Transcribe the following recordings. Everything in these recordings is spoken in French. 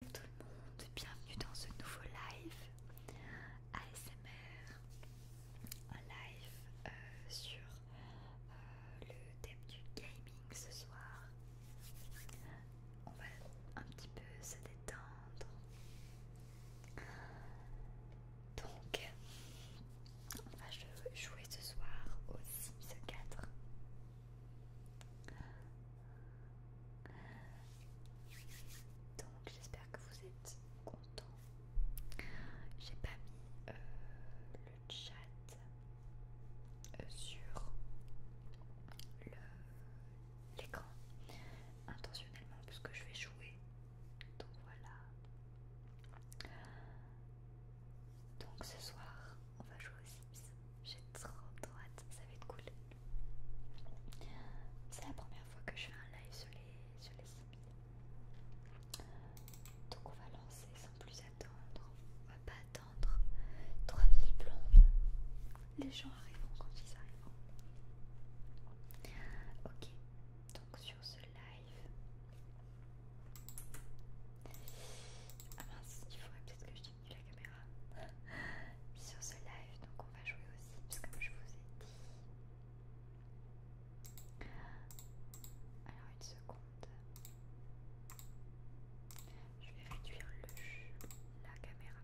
Salut tout le monde, bienvenue dans ce nouveau live ASMR, un live euh, sur euh, le thème du gaming ce soir. On va un petit peu se détendre. Donc, on va jouer ce soir au Sims 4. Donc j'espère que vous êtes contents. J'ai pas mis euh, le chat euh, sur l'écran intentionnellement parce que je vais jouer. Donc voilà. Donc ce soir, on va jouer aussi j'ai trop droite, ça va être cool. C'est la première fois que je fais un live sur les, sur les Sims. Donc on va lancer sans plus attendre. On va pas attendre 3000 plombes. Les gens arriveront quand ils arriveront. Ok, donc sur ce live... Ah mince, il faudrait peut-être que je la caméra sur ce live, donc on va jouer aussi, parce que je vous ai dit. Alors une seconde. Je vais réduire le, la caméra.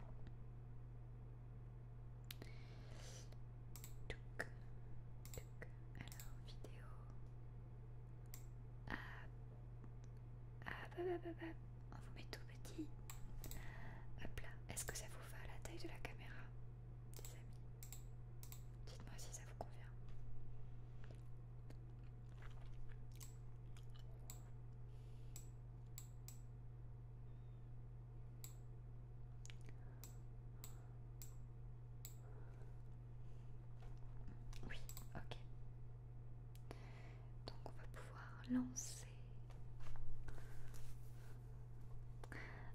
Alors vidéo. Ah, ah bah bah bah bah, on vous met tout petit. Hop là, est-ce que ça vous va à la taille de la caméra, Dites-moi si ça vous convient. Oui, ok. Donc on va pouvoir lancer.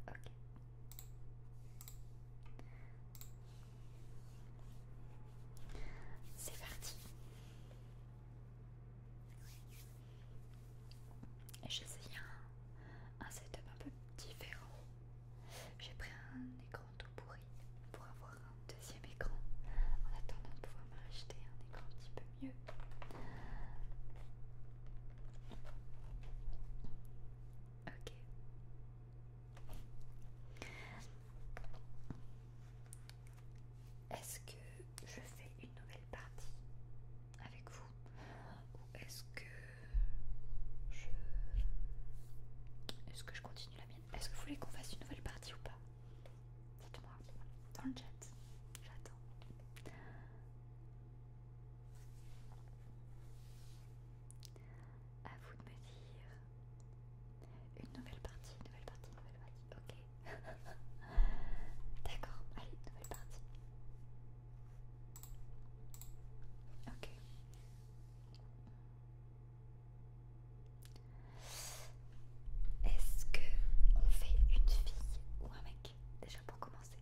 Ok. C'est parti. J'ai essayé un, un setup un peu différent. J'ai pris un écran tout pourri pour avoir deuxième écran en attendant de pouvoir m'acheter un écran un petit peu mieux. Ok. Est-ce que je fais une nouvelle partie avec vous ou est-ce que je est-ce que je continue la mienne Est-ce que vous voulez qu'on fasse une nouvelle partie ou pas Dites-moi dans le chat. J'attends. À vous de me dire. Une nouvelle partie, nouvelle partie, nouvelle partie. Ok. D'accord. Allez, nouvelle partie. Ok. Est-ce que on fait une fille ou un mec déjà pour commencer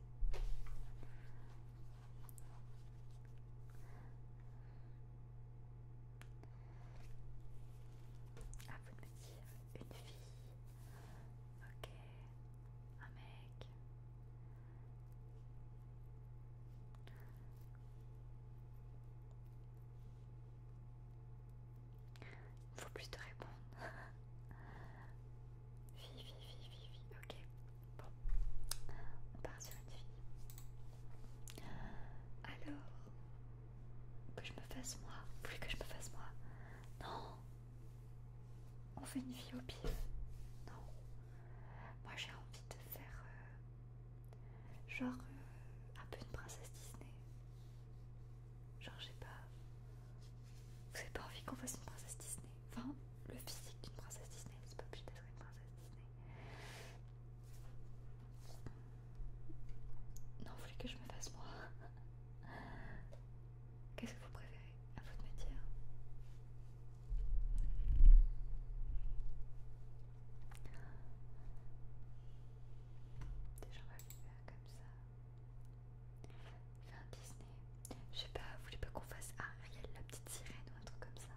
Ah vous me une fille. Ok, un mec. Il faut plus te répondre. Fille, fille, fille, fille, Ok. Bon. On part sur une fille. Alors. Que je me fasse moi. Plus que je me fasse moi. Non. On fait une fille au pif. Non. Moi j'ai envie de faire. Euh, genre. Euh, un peu une princesse Disney. Genre, j'ai pas. Vous avez pas envie qu'on fasse une princesse Disney Enfin, le physique d'une princesse Disney, c'est pas obligé d'être une princesse Disney. Non, vous voulez que je me fasse moi Qu'est-ce que vous préférez À vous de me dire. Déjà on va faire comme ça. Fais un Disney. Je sais pas, vous voulez pas qu'on fasse Ariel, la petite sirène ou un truc comme ça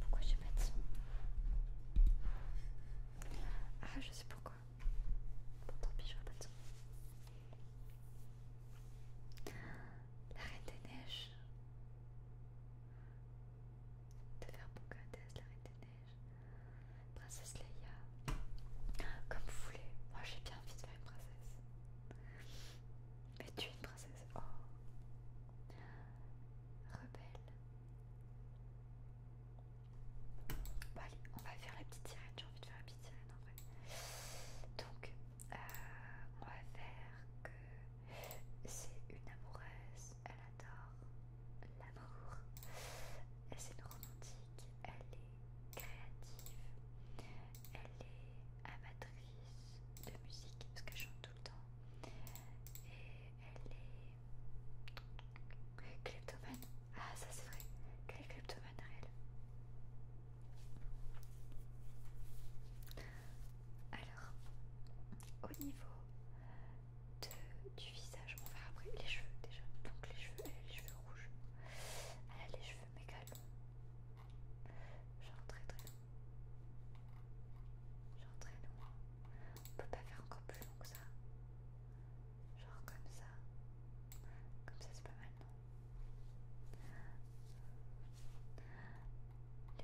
pourquoi j'ai pas de son Ah, je sais pourquoi. Bon, tant pis, je vais pas de son. La Reine des Neiges. De faire Pocahontas, la Reine des Neiges. Princesse Leia. Comme vous voulez. Moi, j'ai bien envie de faire une princesse. Et tu es une princesse. Oh. Rebelle. Bon bah, allez, on va faire la petite sirène, j'ai envie de faire la petite sirène en vrai. Donc, euh, on va faire que c'est une amoureuse, elle adore l'amour, Elle est romantique, elle est créative, elle est amatrice de musique, parce qu'elle chante temps. Et elle est. cleptomane, Ah, ça c'est vrai. Quelle est réelle alors, au niveau du visage, on verra après les cheveux déjà. Donc les cheveux, les cheveux rouges. Elle a les cheveux méga longs. Genre très très longs. Genre très loin. On peut pas faire encore plus long que ça. Genre comme ça. Comme ça c'est pas mal non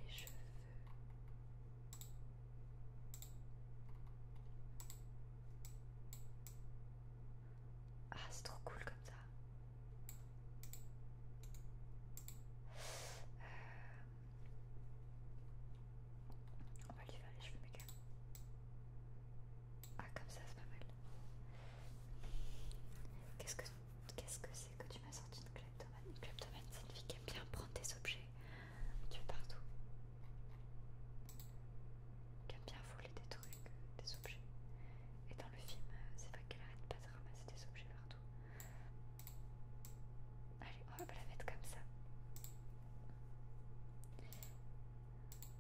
Les cheveux. Ah c'est trop cool comme ça. Euh, on va lui faire les cheveux méga. Ah comme ça c'est pas mal. Qu'est-ce que c'est que tu m'as sorti une kleptomane Une kleptomane c'est une fille qui aime bien prendre des objets. Tu veux partout. Qui aime bien voler des trucs, des objets. Et dans le film, euh, c'est vrai qu'elle arrête pas de ramasser des objets partout. Allez, on va la mettre comme ça.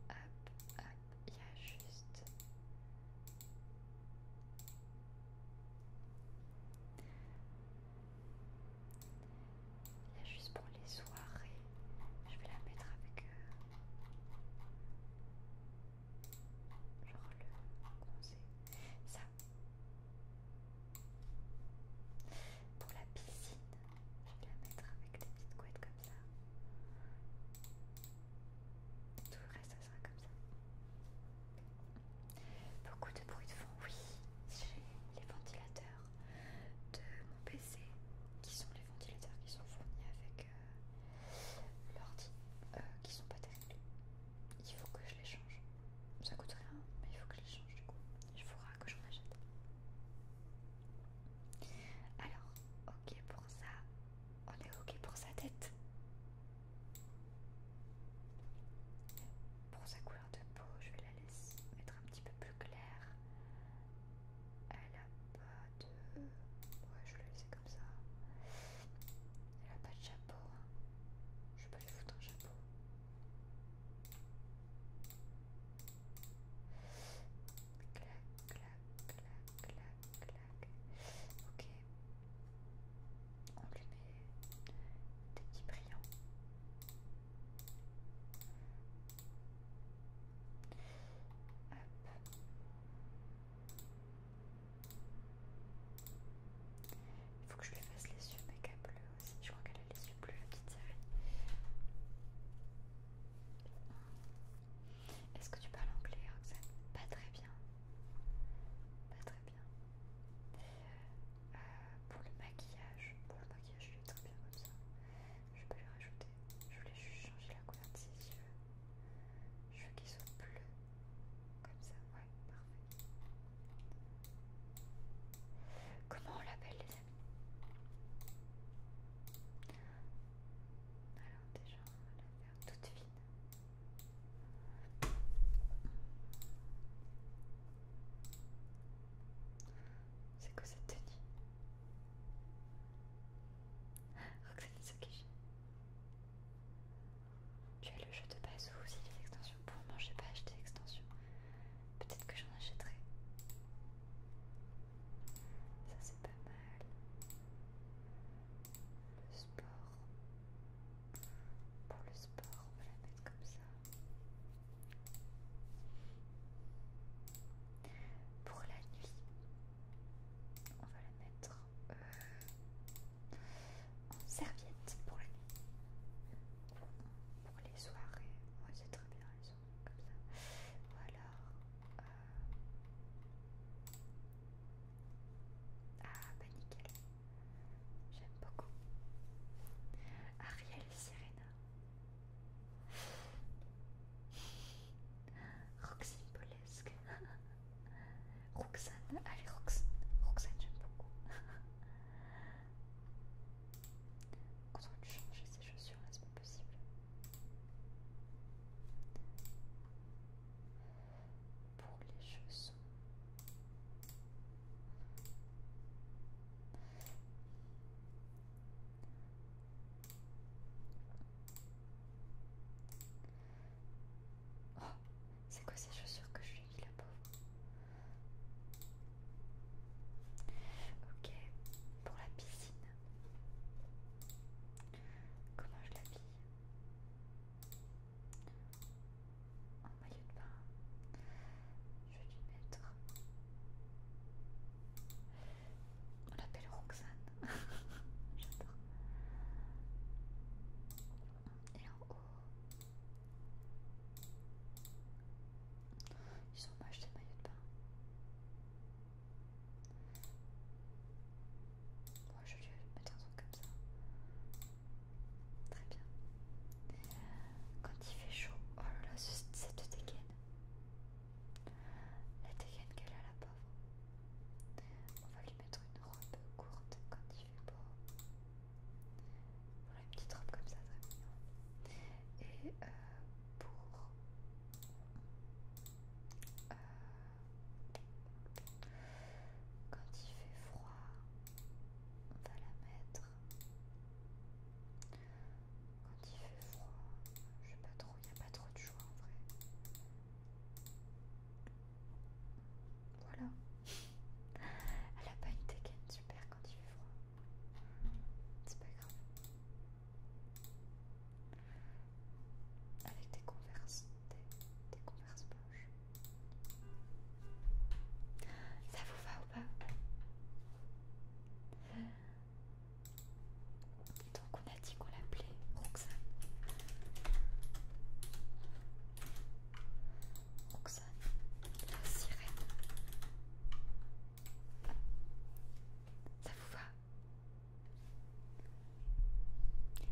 Hop, hop, il y a juste... Il y a juste pour les soirées. Je vais la mettre avec... Euh, genre le conseil. Pour la piscine, je vais la mettre avec des petites couettes comme ça. Tout le reste, sera comme ça. Beaucoup de bruit de fond, oui. J'ai les ventilateurs de mon PC qui sont les ventilateurs qui sont fournis avec euh, l'ordi, euh, qui sont pas terribles. Il faut que je les change. Ça coûte rien, mais il faut que je les change du coup. Il faudra que j'en achète. Alors, ok pour ça. On est ok pour sa tête. Pour sa couleur de peau, je vais la laisser mettre un petit peu plus claire. Elle a pas de... Ouais, je vais la laisser comme ça. Elle a pas de chapeau. Hein. vais pas lui foutre un chapeau. Clac, clac, clac, clac, clac. Ok. des petits brillants. Hop. Il faut que je lui fasse les yeux méga bleus. Je crois qu'elle a les yeux bleus, la petite Est-ce que tu parles anglais, Roxane Pas très bien. Pas très bien. Euh, pour le maquillage, pour le maquillage, il est très bien comme ça. Je peux le rajouter. Je voulais juste changer la couleur de ses yeux. Je veux qu'ils soient bleus. Comme ça, ouais, parfait. Comment on l'appelle les amis Alors déjà on va la faire toute fine. C'est quoi cette tenue Roxane Sokish. Tu as le jeu de base ou aussi les extensions Pour moi, j'ai pas acheté l'extension. Peut-être que j'en achèterai. Ça c'est pas mal. Le sport. Pour le sport, on va la mettre comme ça. Pour la nuit, on va la mettre euh, en serviette pour la nuit pour les soirées. c'est très bien les soirées comme ça. Ou euh, alors. Ah, bah nickel. J'aime beaucoup. Ariel Serena. Roxane Polesque. Roxane, allez Roxane, Roxane j'aime beaucoup. Quand tu changer ces chaussures, est-ce pas possible Pour les chaussons. Oh, c'est quoi ces chaussures que je la pauvre. Ok, pour la piscine. Comment je l'habille En maillot de bain. Je vais lui mettre. On l'appelle Roxane. J'adore. Et en haut, ils sont acheté des maillots de bain. Moi je vais lui mettre un truc comme ça. Très bien. Quand il fait chaud, oh là là, cette dégaine. La dégaine qu'elle a la pauvre. On va lui mettre une robe courte quand il fait beau. Voilà, une petite robe comme ça, très mignon. Et euh, pour. Euh, quand il fait froid, on va la mettre. Quand il fait froid, je sais pas trop, il n'y a pas trop de choix en vrai. Voilà. Elle a pas une dégaine super quand il fait froid. C'est pas grave. Avec des converses, des, converses blanches. Ça vous va ou pas donc on a dit qu'on l'appelait Roxane. Roxane la sirène. Ça vous va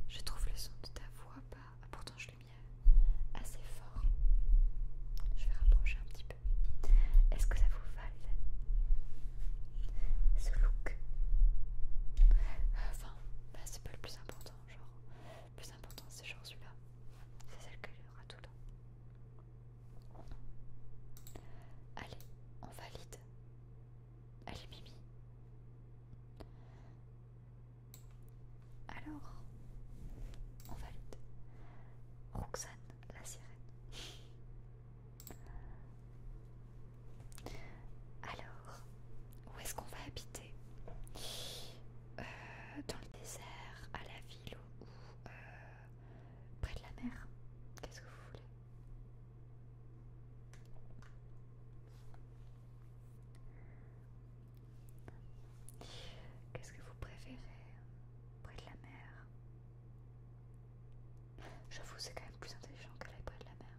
Je trouve le son de ta voix pas. Ah, pourtant, je l'ai mis assez fort. Je vais rapprocher un petit peu. Est-ce que ça vous va, les Ce look euh, Enfin, bah, c'est pas le plus important. Genre, le plus important, c'est genre celui-là. C'est celle qu'il aura tout le temps. Allez, on valide. Allez, Mimi. Alors, on valide. Roxane, la sirène. Alors, où est-ce qu'on va habiter euh, Dans le désert, à la ville ou, euh, près de la mer. Qu'est-ce que vous voulez Qu'est-ce que vous préférez Près de la mer J'avoue, c'est quand même plus intelligent que près de la mer.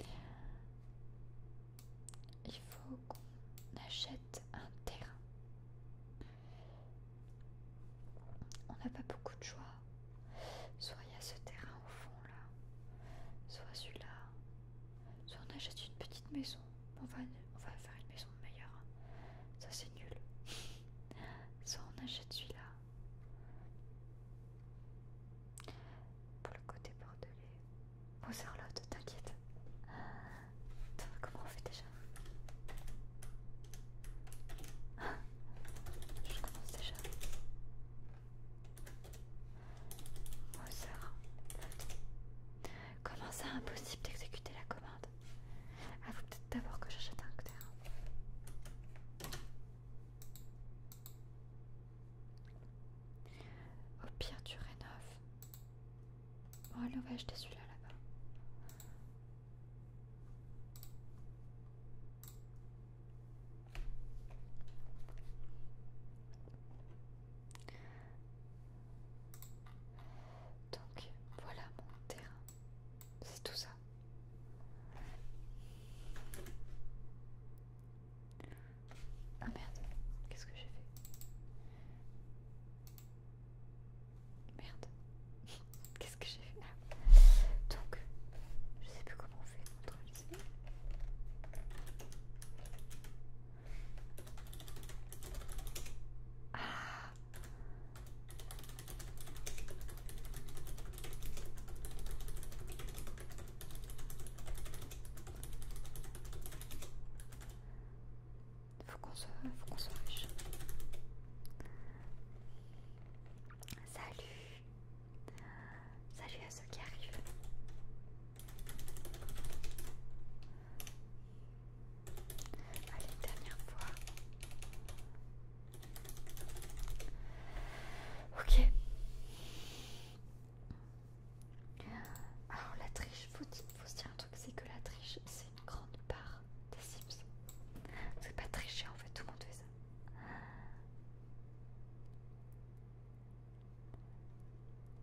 Allez il faut qu'on achète un terrain. On n'a pas beaucoup de choix. Soit il y a ce terrain au fond là, soit celui-là, soit on achète une petite maison. On va, faire une maison meilleure. Ça c'est nul. soit on achète celui-là. Pour le côté bordelais, Bon Charlotte, t'inquiète. Comment on fait déjà Je commence déjà. Bon Comment c'est impossible d'exécuter la commande Ah faut peut-être d'abord que j'achète un acteur. Au pire tu rénoves. Oh, allez, on va acheter celui-là là-bas. Donc voilà mon terrain. C'est tout ça. Ah merde, qu'est-ce que j'ai fait Merde, qu'est-ce que j'ai fait ah. Donc, je sais plus comment on fait Ah faut qu'on sauve, faut qu'on sauve. riche. Salut, salut à ceux qui arrivent. Allez, une dernière fois. Ok. Alors la triche, faut se dire un truc, c'est que la triche, c'est une grande part des Sims. C'est pas tricher en fait, tout le monde fait ça.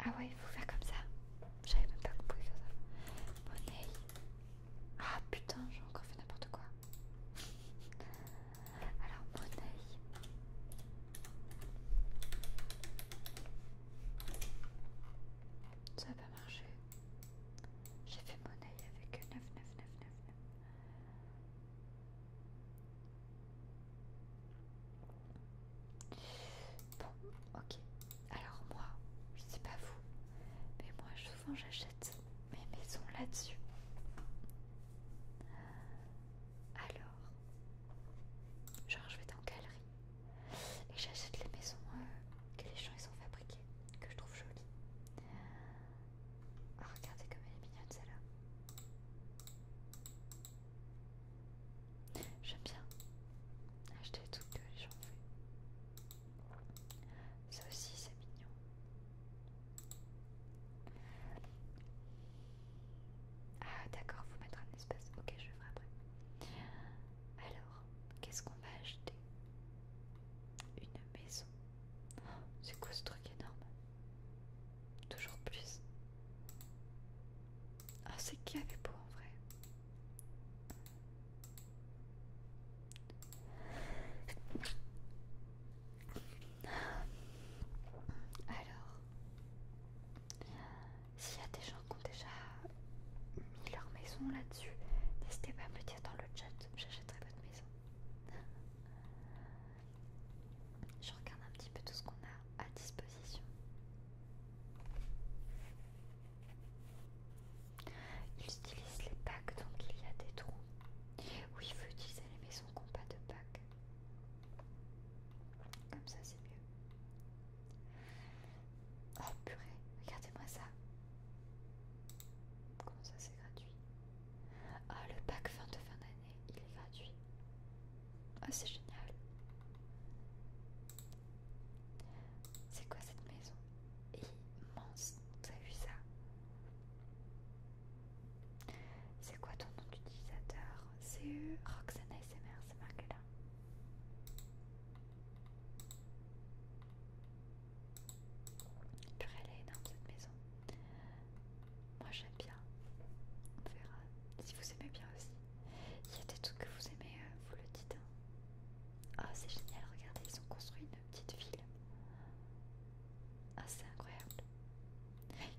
Ah ouais, il faut faire comme ça. J'avais même pas compris faire ça. Money... Ah putain, j'ai encore fait n'importe quoi. Alors, money... Ça va pas marché. J'ai fait mon oeil avec 9, Bon, ok. Alors moi, je sais pas vous, mais moi souvent j'achète mes maisons là-dessus. Alors, genre je vais dans galerie et j'achète les maisons euh, que les gens ils ont fabriquées, que je trouve jolies. Ah, regardez comme elle est mignonne celle-là. J'aime bien acheter tout ce que les gens ont fait. Ça aussi c'est mignon. Ah d'accord, faut mettre un espace. Ok, je le ferai après. Alors, qu'est-ce qu'on va acheter Une maison. C'est quoi ce truc énorme Toujours plus. Ah, c'est qui avait beau en vrai Alors, s'il y a des gens qui ont déjà mis leur maison là-dessus, n'hésitez pas à me le dire dans le chat, j'achèterai votre maison. Je regarde un petit peu tout ce qu'on a à disposition. Ils utilisent les packs, donc il y a des trous. Oui, il faut utiliser les maisons qui n'ont pas de packs. Comme ça, c'est mieux. Oh purée, regardez-moi ça. Comment ça c'est gratuit Ah le pack fin de fin d'année, il est gratuit. Ah c'est génial. C'est quoi cette maison Immense, vous avez vu ça C'est quoi ton nom d'utilisateur C'est Roxana SMR, c'est marqué là elle est énorme cette maison. Moi j'aime bien. On verra si vous aimez bien aussi. Il y a des trucs que vous aimez, euh, vous le dites. Hein. Ah, c'est génial, regardez, ils ont construit une petite ville. Ah, c'est incroyable.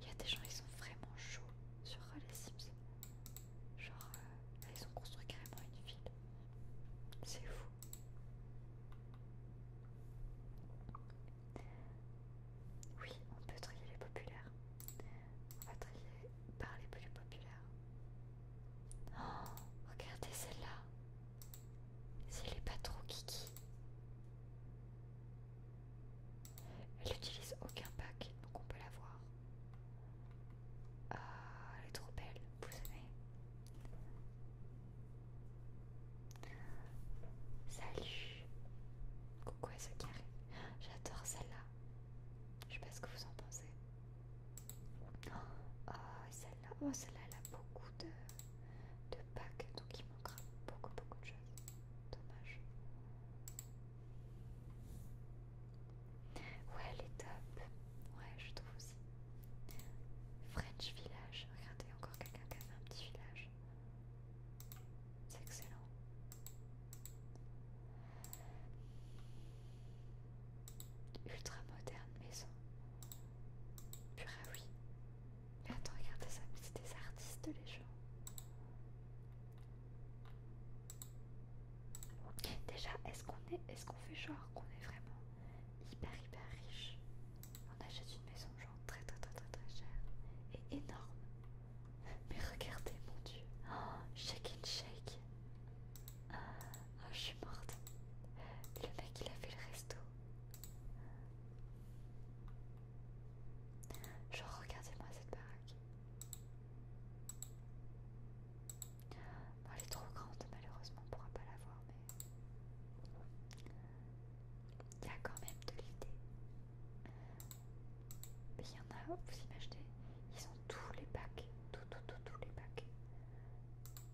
Il y a des gens, ils sont vraiment chauds sur les Sims. Genre, ils euh, ont construit carrément une ville. C'est fou. Oui, on peut trier les populaires. On va trier par les plus populaires. Oh, regardez celle-là. Si elle est pas trop kiki. Elle n'utilise aucun pack, donc on peut la voir. Oh, elle est trop belle, vous savez. Salut Coucou à ceux qui arrivent. J'adore celle-là. Je sais pas ce que vous en pensez. Oh, celle-là, oh, celle-là, elle a beaucoup de, de packs, donc il manquera beaucoup, beaucoup de choses. Dommage. Ouais, elle est top. Ouais, je trouve aussi. French Village. Regardez, encore quelqu'un qui a fait un petit village. C'est excellent. Ultra moderne maison. Pura oui. Mais attends, regardez ça, c'est des artistes les gens. Déjà, est-ce qu'on est, est qu'on fait genre qu'on est vraiment hyper hyper riche On achète une maison genre très très très très très chère et énorme. Mais regardez mon dieu, oh, shake and shake. Oh, je suis morte. Le mec il a fait le resto. Genre regardez-moi cette baraque. Bah, elle est trop grande, malheureusement, on pourra pas l'avoir mais il y a quand même de l'idée. Mais il y en a, vous imaginez, ils ont tous les packs, tous tous tous les packs.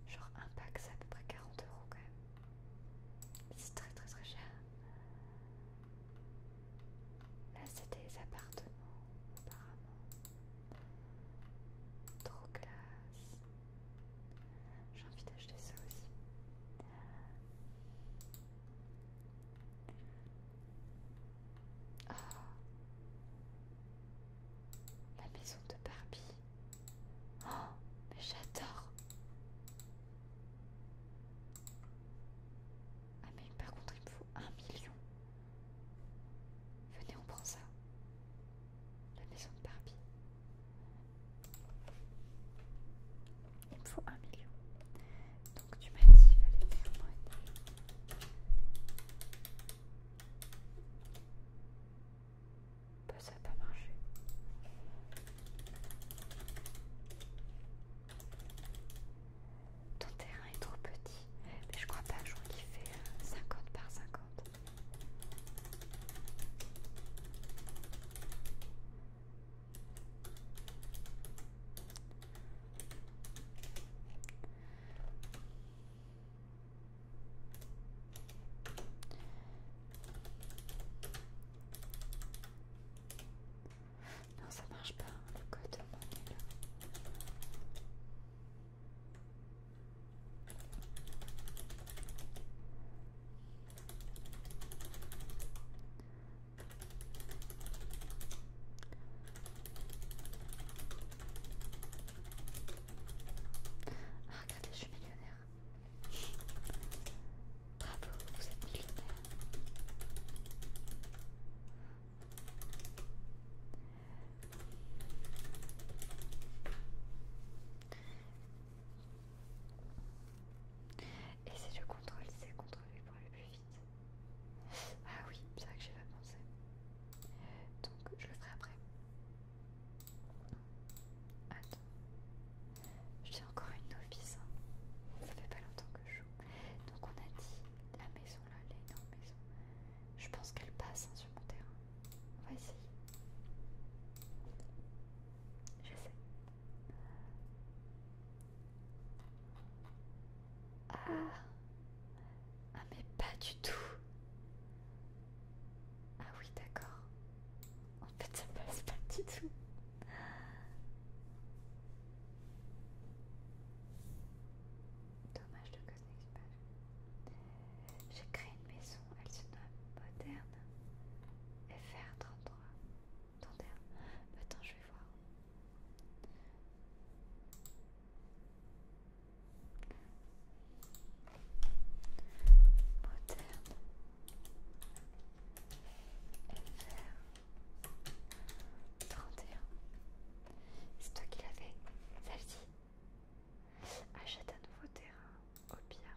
Genre un pack, c'est à peu près 40 euros quand même. C'est très, très, très cher. Là, c'est des appartements, apparemment. Trop classe. J'ai envie d'acheter ça aussi. Ah. La maison de Barbie. Oh, mais j'adore. Ah mais par contre il me faut un million. Venez, on prend ça. La maison de Barbie. Il me faut un million. Donc tu m'as dit qu'il fallait faire money. Bah, ça n'a pas marché. Ton terrain est trop petit. Mais je crois pas, un joint qu'il fait 50 euh, par 50. Non, ça marche pas, hein, le code ah, regardez, je suis millionnaire. Bravo, vous êtes millionnaire. Et si je contrôle C, contrôle pour aller plus vite. Ah oui, c'est vrai que j'ai pas pensé. Donc je le ferai après. Attends. Je encore une office, hein. Ça fait pas longtemps que je joue. Donc on a dit la maison je pense qu'elle passe hein, sur mon terrain. On va essayer. J'essaie. Ah Ah mais pas du tout Ah oui d'accord. En fait ça passe pas du tout. Dommage, dommage. J'ai créé une maison, elle se nomme Moderne FR33. Moderne, attends, je vais voir. Moderne FR31. C'est toi qui l'avais, fait, celle-ci. Achète un nouveau terrain, au pire.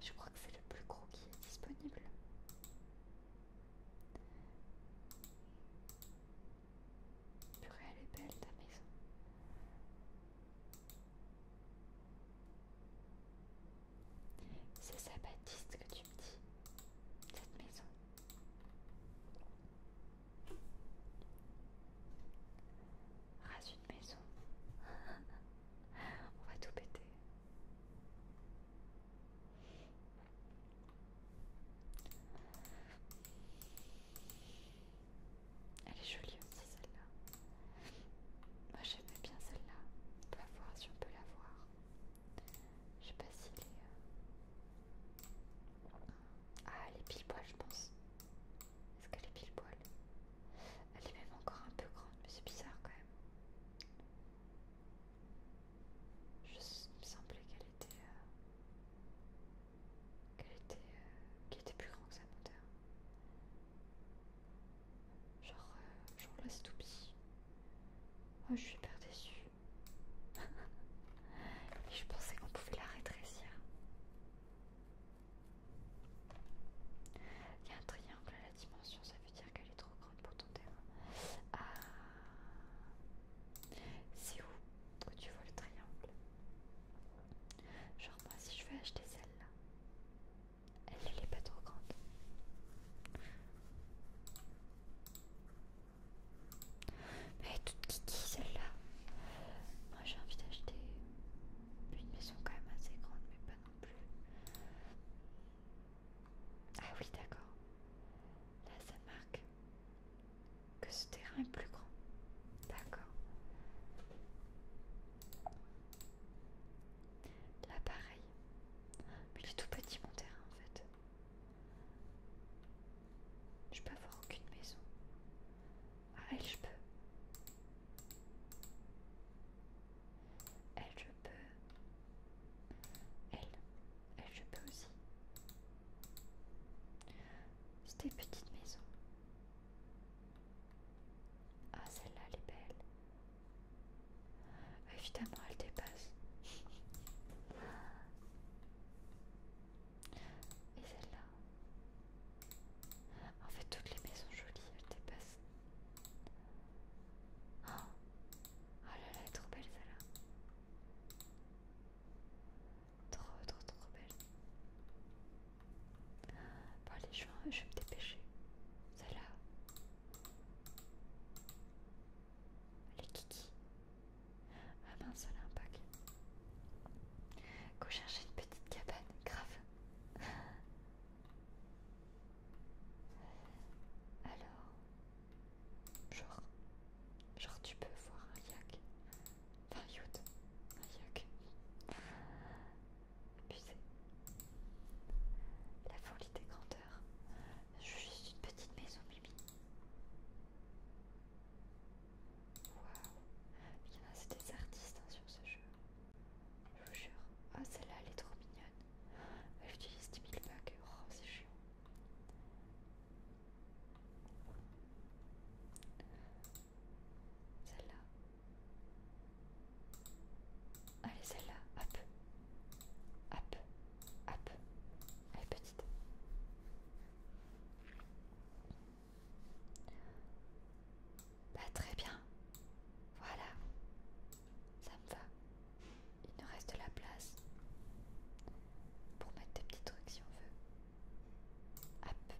Je crois que c'est le plus gros qui est disponible. Purée, elle est belle ta maison. C'est ça, Baptiste, que tu me dis, cette maison. Rase une maison. On va tout péter. Elle est jolie aussi celle-là. Moi j'aimais bien celle-là. On va voir si on peut la voir. Je sais pas si est. Euh, ah, elle est pile poil, je pense. Est-ce qu'elle est pile poil Elle est même encore un peu grande, mais c'est bizarre quand même. Je, il me semblait qu'elle était. Euh, qu'elle était. Euh, était plus grande que sa monteur. Genre, euh, genre tout pis. Ah, je suis hyper déçue. je pensais qu'on pouvait la rétrécir. Il y a un triangle à la dimension, ça veut dire qu'elle est trop grande pour ton terrain. Ah. C'est où que tu vois le triangle Genre moi si je veux acheter celle-là, elle n'est pas trop grande. Mais toute kiki celle-là. Moi j'ai envie d'acheter une maison quand même assez grande, mais pas non plus. Ah oui, d'accord. Là ça marque que ce terrain est plus grand. D'accord. Là pareil. Mais il tout petit mon terrain en fait. Je peux avoir aucune maison. Ah, elle, je peux. Elle, je peux. Elle, elle, je peux aussi. C'était petite maison. Ah, celle-là, elle est belle. Évidemment, elle dépasse. Et celle-là. En fait, toutes les maisons jolies, elles dépassent. Oh, oh là là, elle est trop belle celle-là. Trop, trop, trop belle. Bon, les je je vais me dépêcher. Celle-là. Les kiki. Ah mince, ça a un Go chercher une petite cabane, grave. Alors, genre, genre tu peux voir un yak, enfin yacht, un yak. La folie des grandeurs. Je veux juste une petite maison, Mimi. Waouh, il y en a, c'est des artistes hein, sur ce jeu. Je vous jure. Ah, oh, celle-là, elle est trop mignonne. J'utilise utilise 10 000 bugs. Oh, c'est chiant. Celle-là. Allez, celle-là. Hop. Hop. Hop. Elle petite. Bah, très bien. Voilà. Ça me va. Il nous reste de la place pour mettre des petits trucs si on veut. Hop.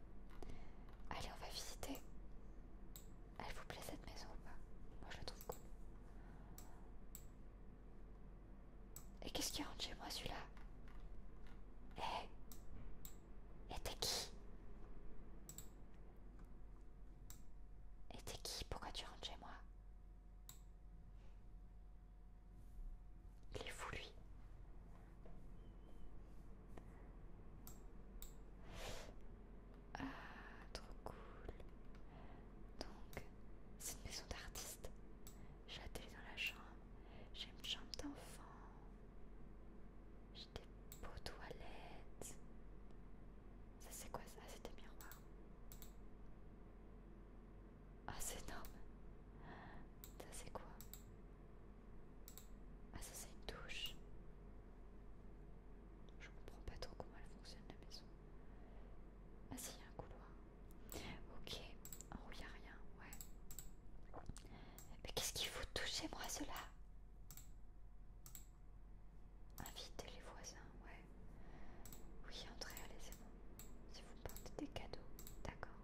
Allez, on va visiter. Elle vous plaît cette maison ou pas Moi je la trouve cool. Et qu'est-ce qui rentre chez moi celui-là Eh Et t'es qui Et t'es qui Pourquoi tu rentres chez moi Il est fou lui. Ah, trop cool. Donc, c'est une maison d'artiste. J'atterris dans la chambre. J'ai une chambre d'enfant. J'ai des beaux toilettes. Ça c'est quoi ça ah, C'est des miroirs. Ah c'est énorme. Ça c'est quoi Ah ça c'est une douche. Je comprends pas trop comment elle fonctionne la maison. Ah si, il y a un couloir. Ok. En il n'y a rien. Ouais. Mais qu'est-ce qu'il faut toucher moi cela Inviter les voisins, ouais. Oui, entrez, allez, c'est bon. Si vous portez des cadeaux, d'accord.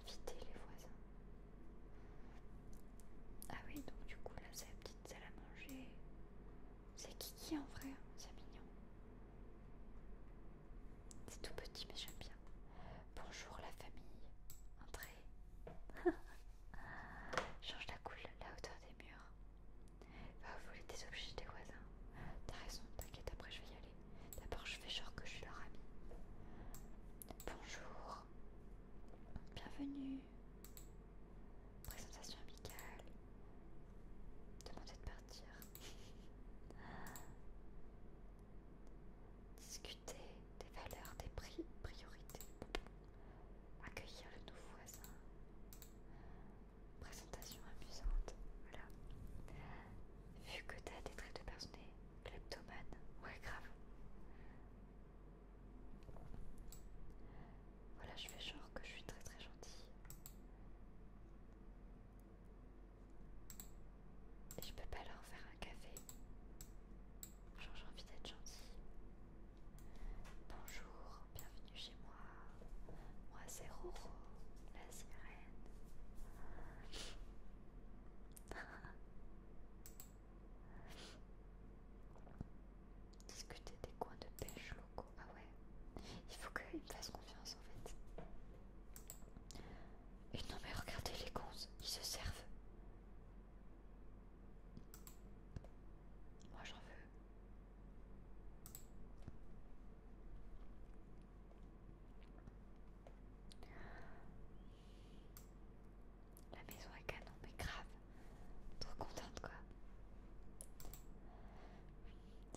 Inviter les voisins. Ah oui, donc du coup, là, c'est la petite salle à manger. C'est Kiki en vrai, c'est mignon. C'est tout petit mais j'aime bien. Bonjour la famille. Entrez. Change la couleur, la hauteur des murs. Va voler des objets des voisins. T'as raison, t'inquiète, après je vais y aller. D'abord je fais genre que je suis leur ami. Bonjour. Bienvenue. Présentation amicale. Demandez de partir discuter des valeurs, des prix, priorités, accueillir le nouveau voisin, présentation amusante, voilà. Vu que t'as des traits de personnalité, kleptomane, ouais grave. Voilà, je fais genre que je suis très très gentille. Je peux pas leur faire un café. Genre j'ai envie d'être gentil. Bonjour, bienvenue chez moi. Moi c'est Roro, la sirène. Discuter des coins de pêche locaux. Ah ouais. Il faut qu'ils me fassent confiance en fait. Et non mais regardez les cons, ils se servent. Moi j'en veux. La maison est canon, mais grave. Trop contente quoi.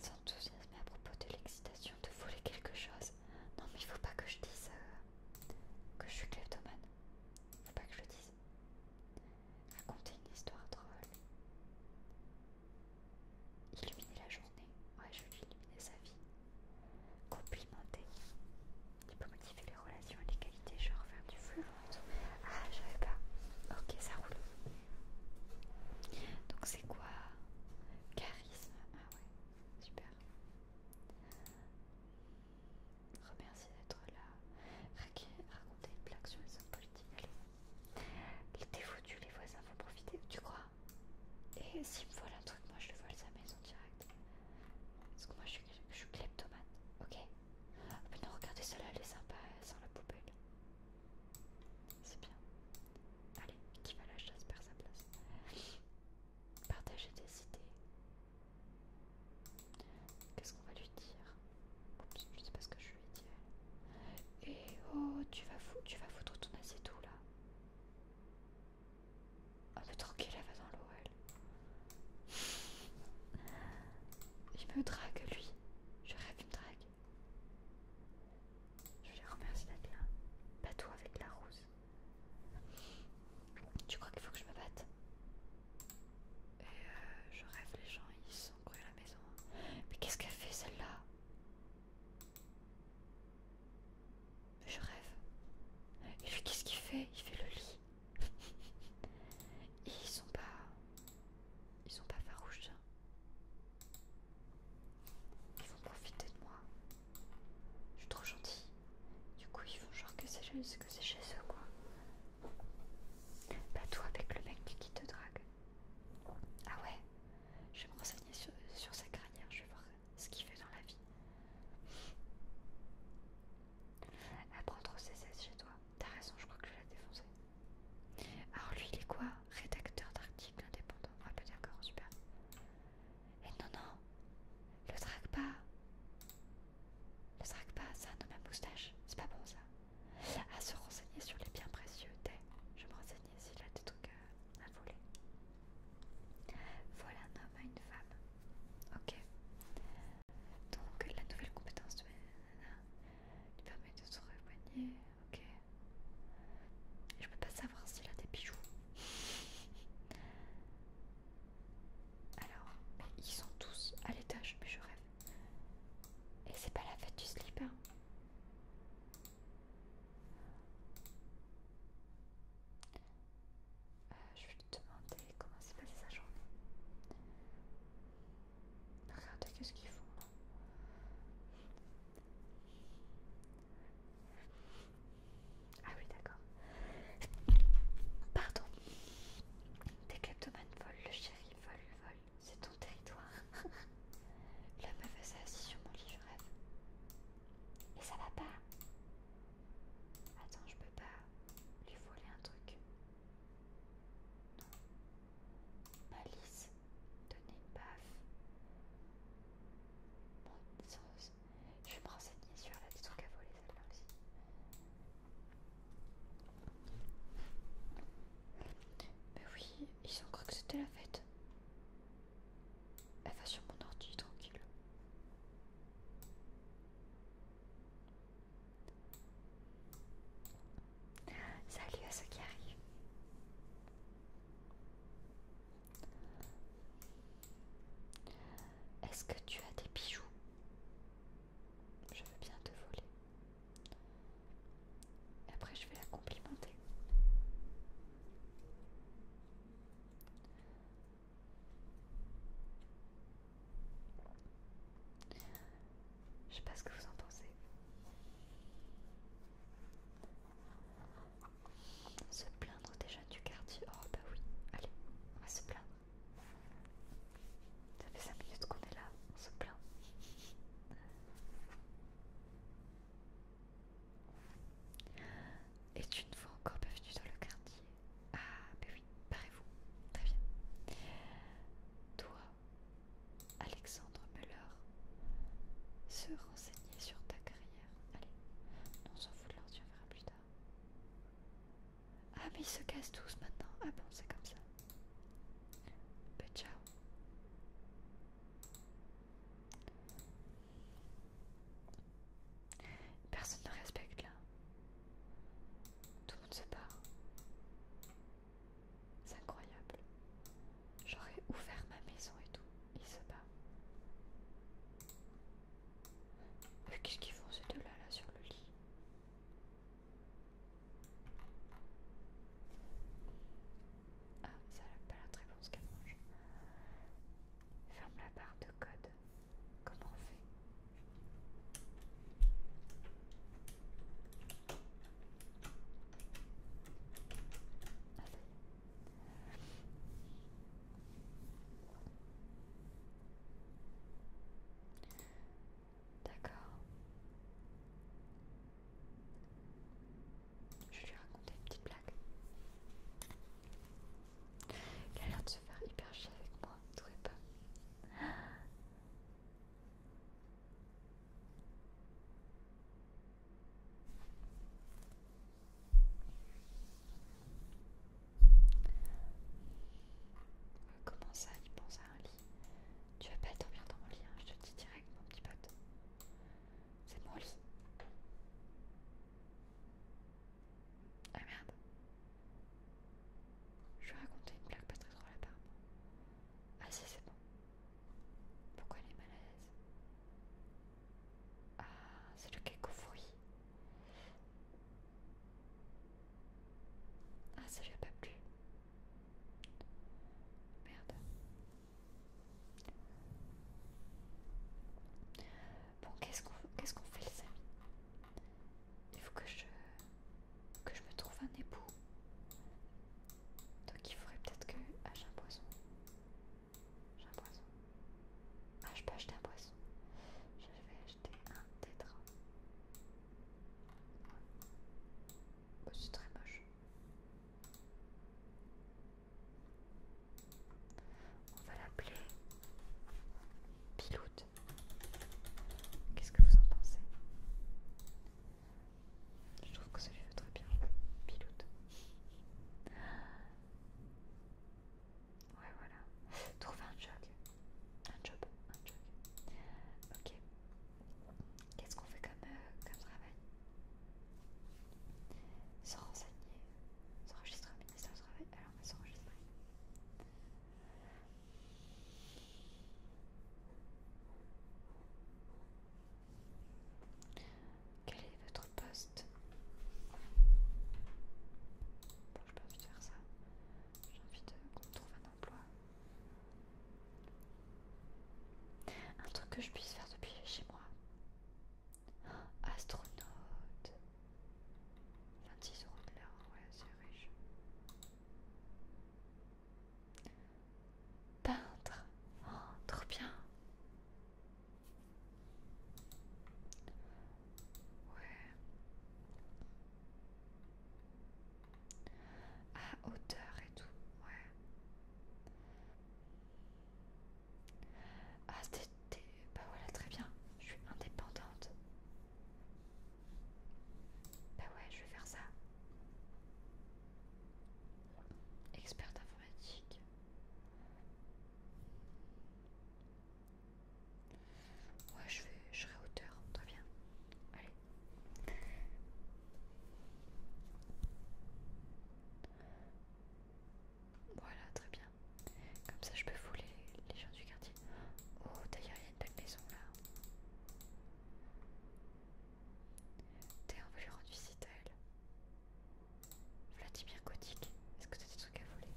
S'enthousiasmer à propos de l'excitation de voler quelque chose non mais il faut pas que je dise euh, que je suis Il Faut pas que je le dise. Raconter une histoire drôle. Illuminer la journée. Ouais, je lui illuminer sa vie. Complimenter. Il peut motiver les relations et les qualités, genre faire du flux Ah, je pas. Ok, ça roule. Donc c'est quoi Charisme. Ah ouais. Super. Remercie d'être là. Raconter une blague sur les hommes politiques. Allez. était foutu, les voisins vont profiter, tu crois Et s'ils me volent un truc, moi je le vole sa maison direct. Parce que moi je suis, je ok Ah Mais non, regardez celle-là, elle est sympa, elle sort la poubelle. C'est bien. Allez, qui va la chasse sa place. Partager des idées. Qu'est-ce qu'on va lui dire je sais pas ce que je lui dis. Et eh oh, tu vas foutre, tu vas foutre ton assiette là Oh mais tranquille, elle va dans l'O.L. Il me drague lui. Je rêve, qu'il me drague. Je lui remercie d'être là. toi avec la rose. Tu crois qu'il faut que je me batte euh, je rêve, les gens ils sont courus à la maison. Mais qu'est-ce qu'elle fait celle-là Je rêve. Et qu'est-ce qu'il fait Il fait le lit. ils sont pas. Ils sont pas farouches. Hein. Ils vont profiter de moi. Je suis trop gentille. Du coup, ils font genre que c'est chez, eux, quoi. Bah, toi avec le mec qui te drague. Ah ouais Je vais me renseigner sur, sa carrière, je vais voir ce qu'il fait dans la vie. Elle prend trop ses chez toi. T'as raison, je crois que je l'ai défoncé. Alors lui, il est quoi Rédacteur d'articles indépendant. Ah bah d'accord, super. Et non, non, le traque pas. Le traque pas, ça un homme à moustache. C'est pas bon ça. À se renseigner sur les biens précieux Je me renseignais s'il a des trucs à, voler. Voilà un homme à une femme. Ok. Donc la nouvelle compétence de lui permet de se repoigner. Ok. Je peux pas savoir s'il a des bijoux. Alors, bah, ils sont tous à l'étage, mais je rêve. Et c'est pas la fête du slip, hein. euh, je vais lui demander comment s'est passée sa journée. Regardez qu'est-ce qu'ils font ah oui, d'accord. Pardon. Des kleptomanes volent, le chéri vole, vole. C'est ton territoire. La meuf elle assise sur mon lit, je rêve. Et ça va pas. Attends, je peux pas lui voler un truc. Non. Malice. Donner une Mon je vais me renseigner sur là des trucs à voler, celle-là aussi. Mais oui, ils ont cru que c'était la fête. Elle va sur mon ordi, tranquille. Salut à ceux qui arrivent. Est-ce que tu as des bijoux Je veux bien te voler. Après, je vais la complimenter. Je sais pas ce que vous en pensez. Se plaindre déjà du quartier. Oh bah oui, allez, on va se plaindre. Ça fait 5 minutes qu'on est là, on se plaint. Et tu ne vois encore pas venu dans le quartier. Ah bah oui, pareil vous Très bien. Toi, Alexandre Muller, se renseigner sur ta carrière Allez, on s'en fout de l'ordre, on verra plus tard. Ah mais ils se cassent tous maintenant. Ah bon, c'est comme ça. Bah ciao. Personne ne respecte là. Tout le monde se part. C'est incroyable. J'aurais ouvert ma maison et tout. Il se bat. qu'est-ce qu'ils font ces deux-là là sur le lit Ah, ça n'a pas la très bon ce qu'elle mange. Ferme la barre de code. Comment on fait ah, D'accord. Je vais lui raconter une petite blague. Il a l'air de se faire hyper chier avec moi, tout est pas Comment ça, il pense à un lit Tu vas pas dormir dans mon lit, hein, je te dis direct, mon petit pote. C'est mon lit. Ah merde. Je vais raconter une blague pas très drôle part. Ah si, c'est bon. Pourquoi elle est mal à l'aise ah, c'est le cake Ah, ça lui a pas plu. Merde. Bon, qu'est-ce qu'on qu'est-ce qu'on fait les amis Il faut que je que je me trouve un époux. Donc il faudrait peut-être que ah, j'achète un poison. J'ai un poisson. Ah, je peux acheter un poisson. Je vais acheter un tétra. Oh, c'est très moche. On va l'appeler Pilote. Qu'est-ce que vous en pensez Je trouve que ça lui va très bien. Pilote. Ouais, voilà. Trouver un job. Un job. Un job. Ok. Qu'est-ce qu'on fait comme, euh, travail Se renseigner. S'enregistrer mais ministère du Travail. Alors, on va s'enregistrer. Quel est votre poste Bon, j'ai pas envie de faire ça. J'ai envie qu'on trouve un emploi. Un truc que je puisse faire depuis chez moi. astronaute. 26 euros de l'heure, ouais, c'est riche. Peintre. Oh, trop bien. Ouais. à hauteur et tout, ouais. Ah, c'était... Bah voilà, très bien. Je suis indépendante. Bah ouais, je vais faire ça. Experte informatique. Ouais, je, vais, je serai hauteur, très bien. Allez. Voilà, très bien. Comme ça, je peux fouler les gens du quartier. Oh, d'ailleurs, il y a une belle maison là. T'es on va lui rendre visite à elle. Vladimir gothique est-ce que as des trucs à voler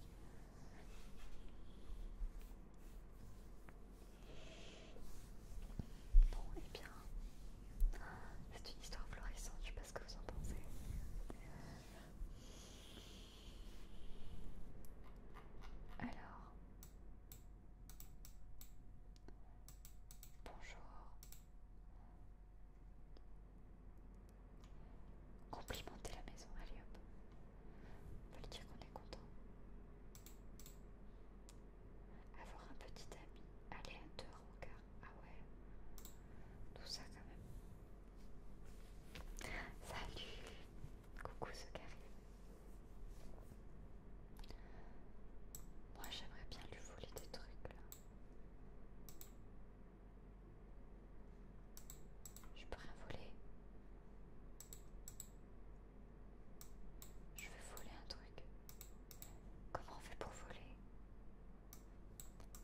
Bon, et eh bien, c'est une histoire florissante, je sais pas ce que vous en pensez. Alors, bonjour. Complimenter la maison, allez hop. On peut lui dire qu'on est content. Avoir un petit ami à au cas. Ah ouais. Tout ça quand même. Salut Coucou ce carré. Moi j'aimerais bien lui voler des trucs là. Je peux rien voler. Je vais voler un truc. Comment on fait pour voler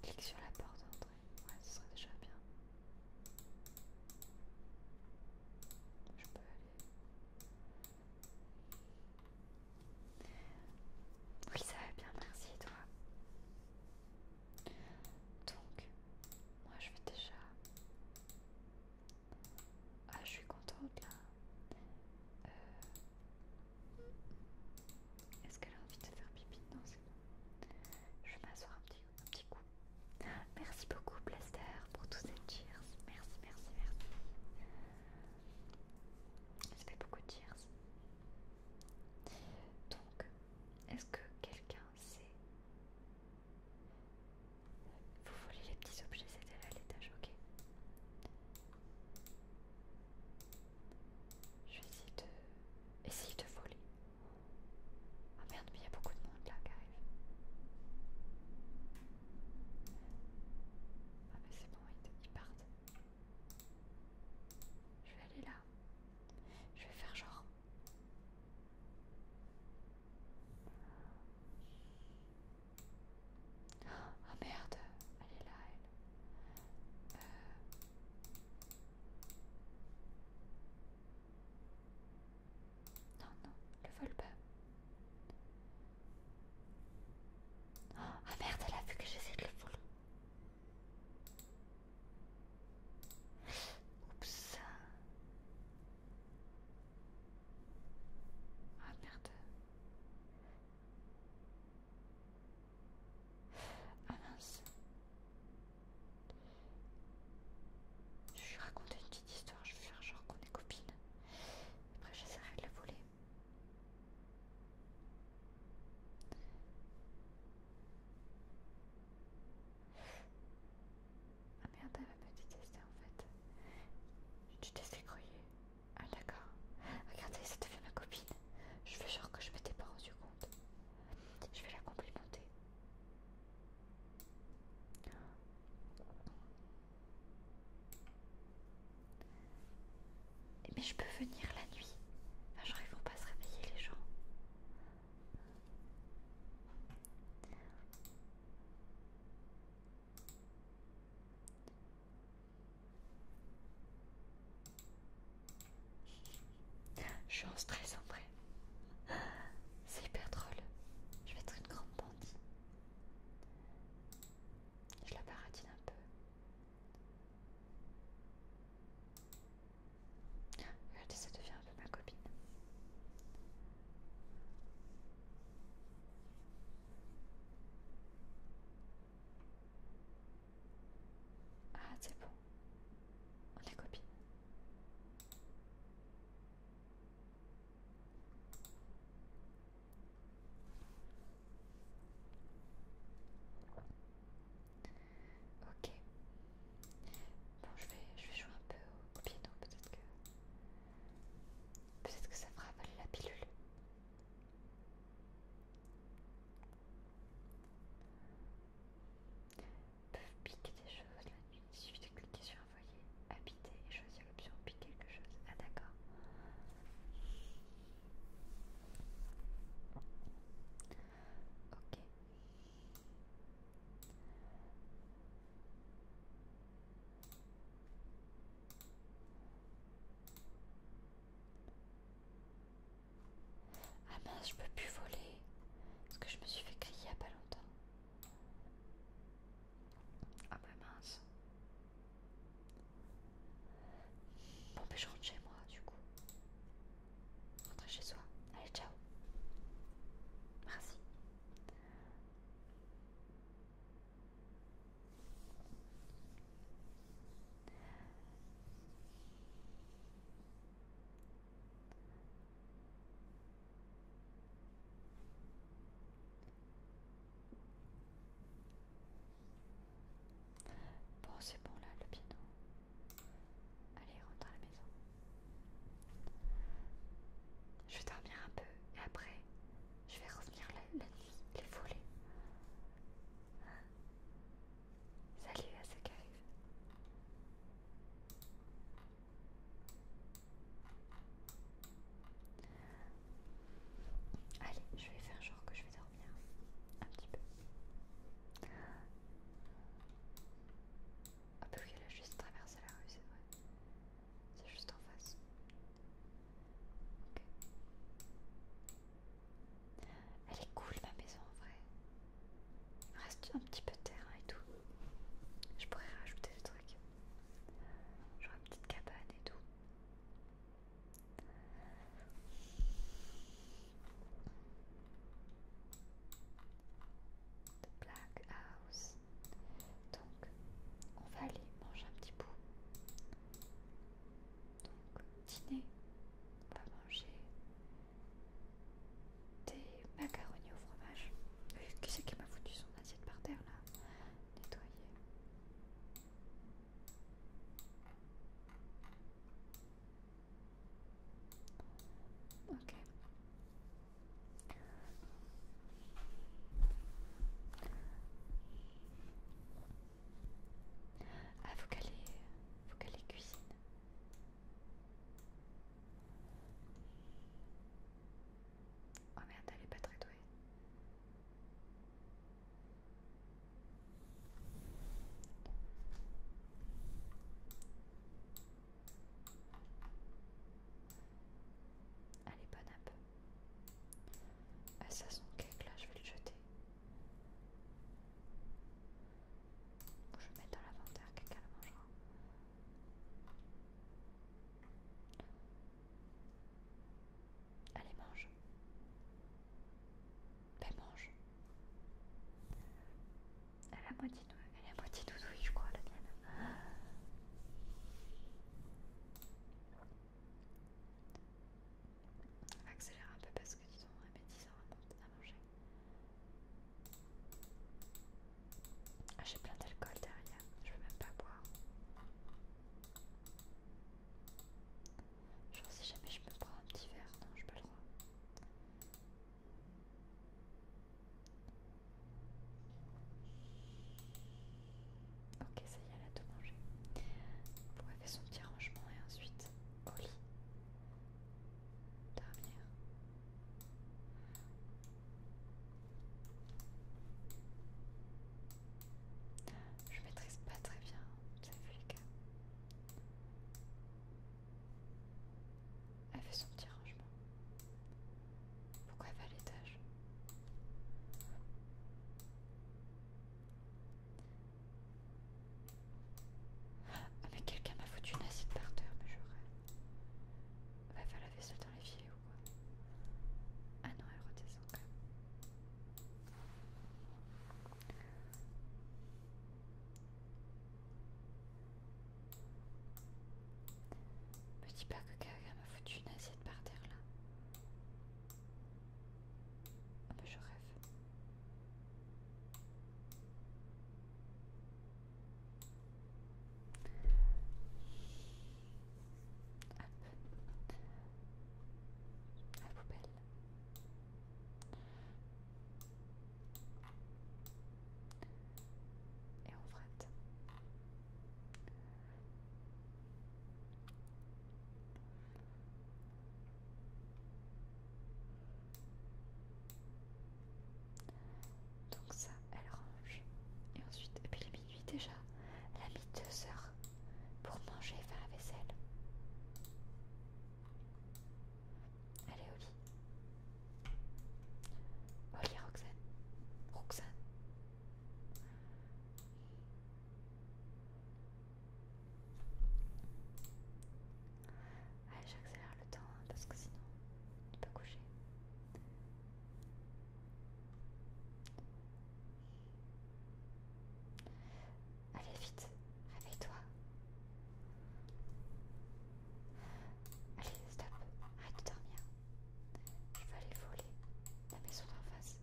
Clique sur la porte d'entrée. Ouais, ce serait déjà bien. Je peux aller. Oui, ça va bien, merci, toi. Donc, moi je vais déjà... Ah, je suis contente là. Euh, est-ce qu'elle a envie de faire pipi Non, c'est bon. Je vais m'asseoir un petit, un petit coup. Merci beaucoup, Blaster, pour tous ces cheers. Merci, merci, merci. Ça fait beaucoup de cheers. Donc, est-ce que quelqu'un sait Vous volez les petits objets, c'était là l'étage, ok. Je vais essayer de... Essayer de voler. Ah merde, mais il y a beaucoup de monde là qui arrive. Ah mais c'est bon, ils partent. Je vais aller là. Je vais faire genre. Ah merde, elle est là, elle. Euh. Non, non, le vole pas. Ah merde, elle a vu que j'essaie de le voler. Oups. Ah merde. Ah mince. Je vais raconter une petite histoire, je vais faire genre qu'on est copines. Après j'essaierai de la voler. Ah merde, elle va me détester en fait. Tu croyer. Ah d'accord. Regardez, ça fait ma copine. Je veux genre que je m'étais pas rendu compte. Je vais la complimenter. Mais je peux venir la nuit. genre ils vont pas se réveiller les gens. Je suis en stress en vrai. C'est hyper drôle. Je vais être une grande bandit. Je la paratine un peu. Regardez, ça devient un peu ma copine. Ah, c'est bon. On est copine. Ok. Bon, je vais, je vais jouer un peu au, pied piano, peut-être que... Peut-être que ça fera voler la pilule. Peuvent piquer des choses la nuit. Il suffit de cliquer sur envoyer, habiter et choisir l'option piquer quelque chose. Ah d'accord. Ok. Ah mince, je peux plus voler parce que je me suis fait crier il a pas longtemps. Ah bah mince. Bon, je rentre chez moi du coup. Rentrez chez soi. Allez, ciao. Merci. Bon, c'est bon là, le piano. Allez, rentre à la maison. Je vais dormir un peu et après, je vais revenir la, nuit, les voler. Salut à ceux qui arrivent. Allez, je vais faire genre que je vais dormir un petit peu. Ah, oui elle a juste traversé la rue, c'est vrai. C'est juste en face. Elle est cool ma maison en vrai. Il me reste un petit peu de terrain et tout. Je pourrais rajouter des trucs. Genre une petite cabane et tout. The Black House. Donc, on va aller manger un petit bout. Donc, dîner, on va manger des macaronis au fromage. qui c'est qui m'a foutu son assiette par terre là Nettoyer. Ok. Ah, faut vous qu cuisine. Oh merde, elle est pas très douée. Allez, bonne app. Ah, ça, son cake là, je vais le jeter. Je vais mettre dans l'inventaire, quelqu'un le mangera. Allez, mange. Ben mange. Elle est à moitié elle est moitié douille, je crois, la mienne. On va accélérer un peu parce que disons, 10 ans, à manger. Ah, j'ai plein d'alcool derrière, je veux même pas boire. Genre, si jamais je me prendre un petit verre, non, je pas le droit. Ok, ça y est, elle a tout mangé. Pour faire son petit rangement et ensuite au lit. Dormir. Je maîtrise pas très bien, ça vu les elle fait son petit rangement. Pourquoi elle va à l'étage Avec quelqu'un m'a foutu une acide par terre, mais j'aurais. Elle Va laver ça vaisselle dans filets ou quoi Ah non, elle redescend quand même. Petit dis que quelqu'un m'a foutu une assiette par terre là. Ah, bah, je rêve. Ah, ah, poubelle et on frette. Donc ça, elle range. Et ensuite, depuis puis minuit déjà. Elle a mis deux heures pour manger et faire la vaisselle. Allez, Oli. Oli, Roxane. Roxane. Allez, j'accélère le temps hein, parce que sinon il peut coucher. Allez vite, réveille-toi. Allez, stop, arrête de dormir. Je vais aller voler la maison d'en face.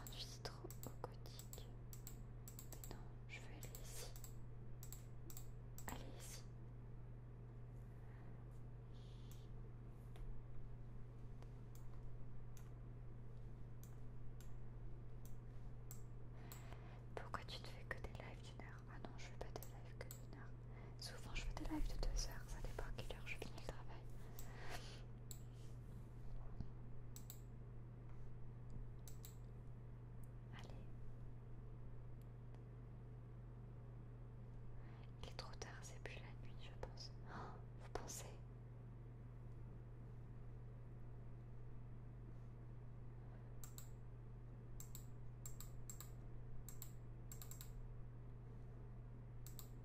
Conduis trop au gothique. Mais non, je veux aller ici. Allez ici. Pourquoi tu ne fais que des lives d'une heure Ah non, je fais pas des lives que d'une heure. Souvent, je fais des lives de deux heures. Ça dépend à quelle heure je finis le travail. Allez. Il est trop tard, c'est plus la nuit, je pense. Oh, vous pensez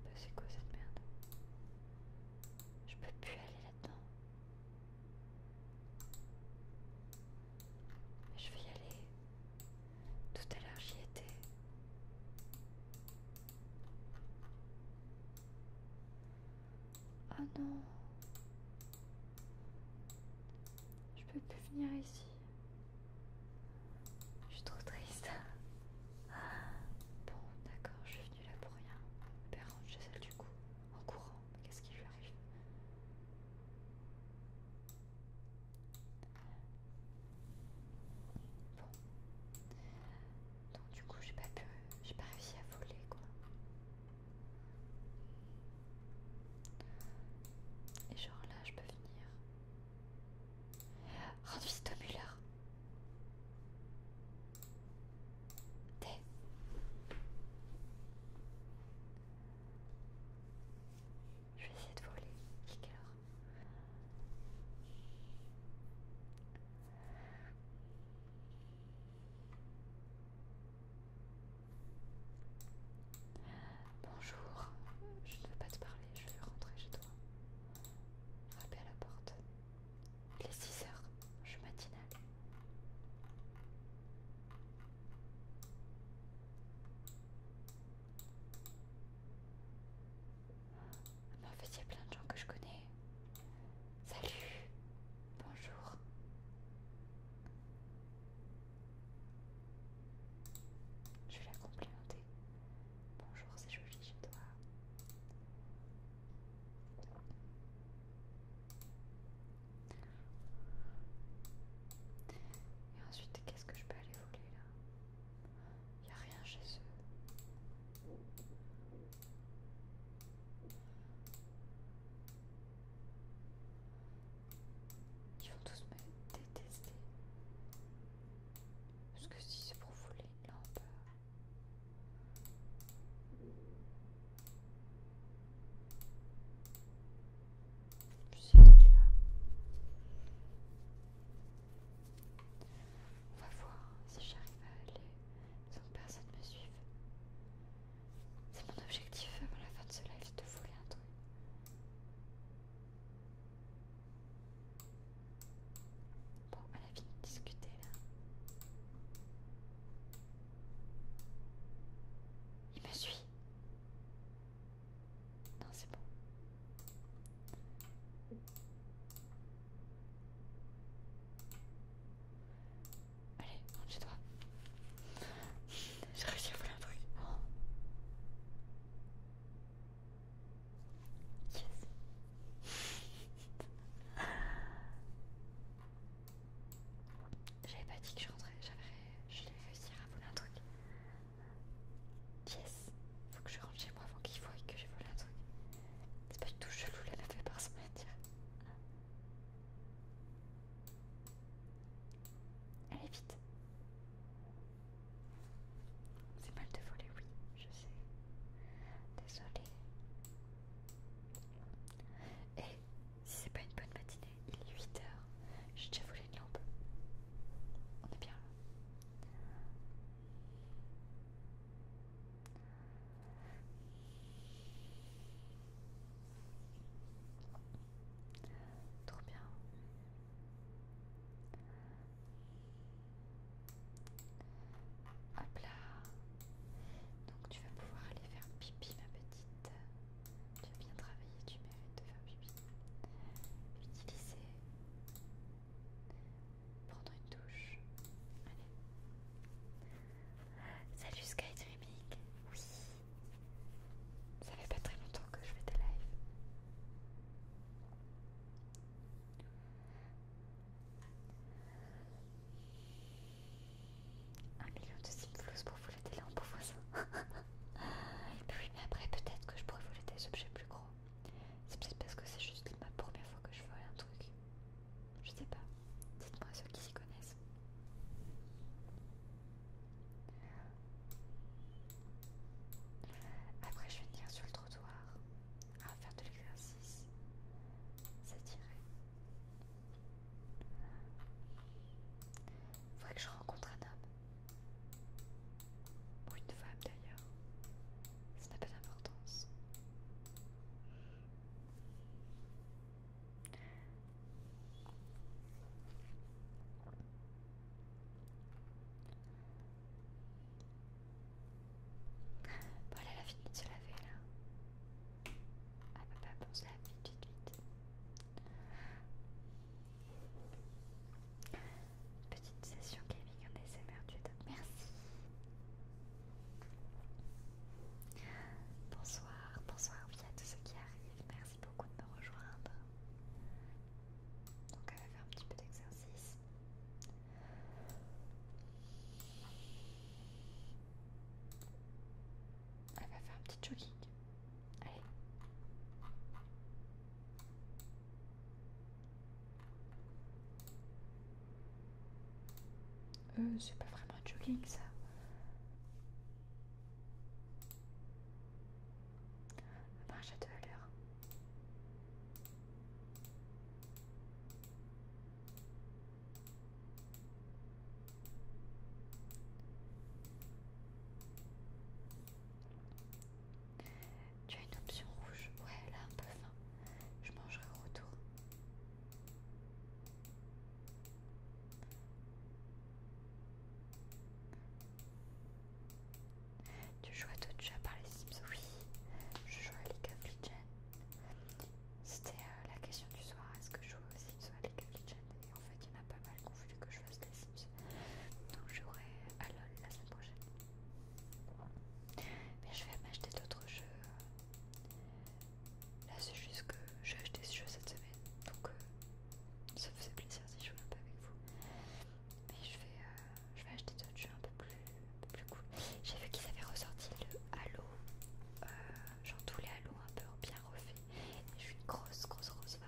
bah, C'est quoi cette merde Je peux plus aller là-dedans. Je vais y aller. Tout à l'heure, j'y étais. Oh non. Je peux plus venir ici. Je suis trop triste. Bon, d'accord, je suis venue là pour rien. Mon eh ben, rentre chez elle du coup, en courant. Qu'est-ce qui lui arrive donc du coup j'ai pas pu. J'ai pas réussi à voler quoi. Et genre là je peux venir. Rends ce au T'es. Je vais essayer de voler. Kicker. Bonjour, je ne veux pas te parler, je vais rentrer chez toi. Rappel à la porte. Il est 6 heures, je suis matinale en fait, il y a plein de gens que je connais. Salut, bonjour. Je vais la complimenter. Bonjour, c'est joli chez toi. Et ensuite, qu'est-ce que je peux aller voler là il n'y a rien chez eux. Ils vont tous me détester. Parce que si c'est pour voler les lampe... Euh, je là. On va voir si j'arrive à aller sans que personne me suive. C'est mon objectif à la fin de ce live de voler un truc. Bon, on a fini de discuter là. Il me suit. Non, c'est bon. Allez, rentre chez toi. J'ai réussi à voler un truc. Oh. Yes. J'avais pas dit que je rentrais, j'avais. Je à voler un truc. Yes Faut que je rentre chez moi avant qu'il voie que j'ai volé un truc. C'est pas du tout chelou la laver par ce matin. Allez vite C'est mal de voler, oui, je sais. Désolée. Et si c'est pas une bonne matinée, il est 8h. J'ai déjà volé on est bien là. Trop bien. Hop là. Donc tu vas pouvoir aller faire pipi ma petite. Tu as bien travaillé, tu mérites de faire pipi. Utiliser Prendre une douche. Allez. Salut Skydreaming. Oui. Ça fait pas très longtemps que je fais des lives. Un million de simflouz pour vous le délai en beau et puis mais après peut-être que je pourrais voler des objets plus gros. C'est peut-être parce que c'est juste ma première fois que je ferai un truc. Je sais pas. Dites-moi ceux qui s'y connaissent. Après je vais venir sur le trottoir faire de l'exercice. Il Faudrait que je rencontre un homme. Pour une femme d'ailleurs. Ça n'a pas d'importance. Bon, elle a fini de se laver là. Ah, peut pas se lave vite, vite, vite. Petite session gaming en merci. Bonsoir, bonsoir à tous ceux qui arrivent, merci beaucoup de me rejoindre. Donc elle va faire un petit peu d'exercice. Elle va faire un petit jogging. Allez. Euh, c'est pas vraiment un jogging ça. marche à deux tu as une option rouge. Ouais, elle a un peu faim. Je mangerai au retour. Tu joues à d'autres par les Sims Oui, je joue à League of Legends. C'était euh, la question du soir est-ce que je joue aux Sims ou à League of Legends Et en fait, il y en a pas mal qui ont que je fasse des Sims. Donc j'aurai Halo la semaine prochaine. Mais je vais m'acheter d'autres jeux. Là c'est juste que j'ai acheté ce jeu cette semaine. Donc euh, ça faisait plaisir si je jouais un peu avec vous. Mais euh, je vais, acheter d'autres jeux un peu plus, plus cool. J'ai vu qu'ils avaient ressorti le Halo. Euh, genre tous les Halo un peu bien refaits. Et je suis grosse, grosse, grosse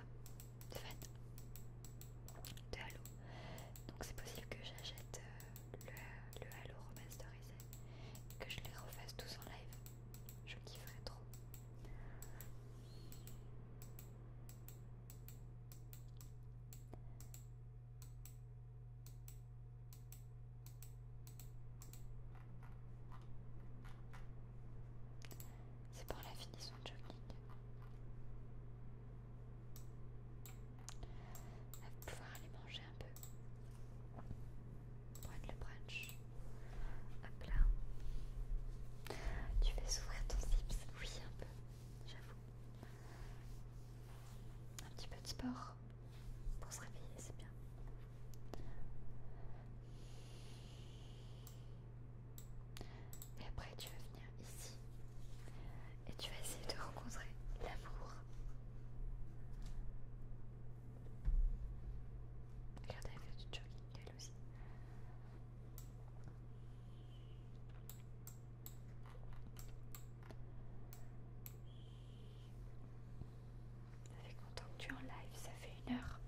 de fait, de Halo. Donc c'est possible que j'achète euh, le, Halo remasterisé et que je les refasse tous en live. Je kifferais trop. C'est pour la finition de va pouvoir aller manger un peu va le brunch. Hop là. Tu fais s'ouvrir ton ça Oui, un peu, j'avoue. Un petit peu de sport pour se réveiller, c'est bien. Et après, tu vas venir ici et tu vas essayer de rencontrer l'amour. Regarde, elle fait du jogging, elle aussi. Ça fait content que tu es en live, ça fait une heure.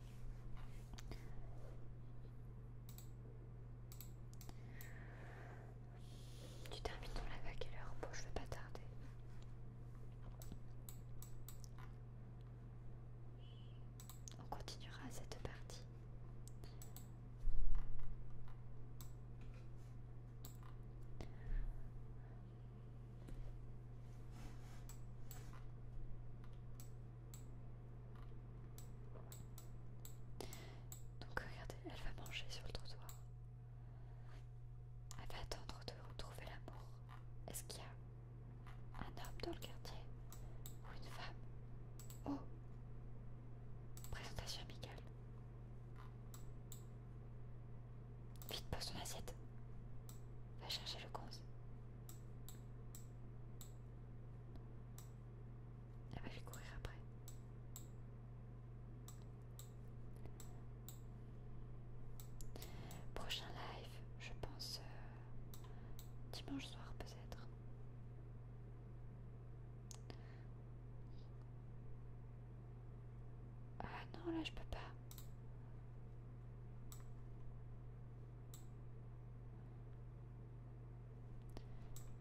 Tu termines dans la à le le je vais pas tarder. On continuera cette partie. Donc regardez, elle va manger sur le trottoir. Elle va attendre de retrouver l'amour. Est-ce qu'il y a un homme dans le quartier ou une femme Oh Présentation amicale. Vite, pose ton assiette. Va chercher le conse. Elle va lui courir après. Prochain live, je pense euh, dimanche soir peut-être. Ah non, là je peux pas.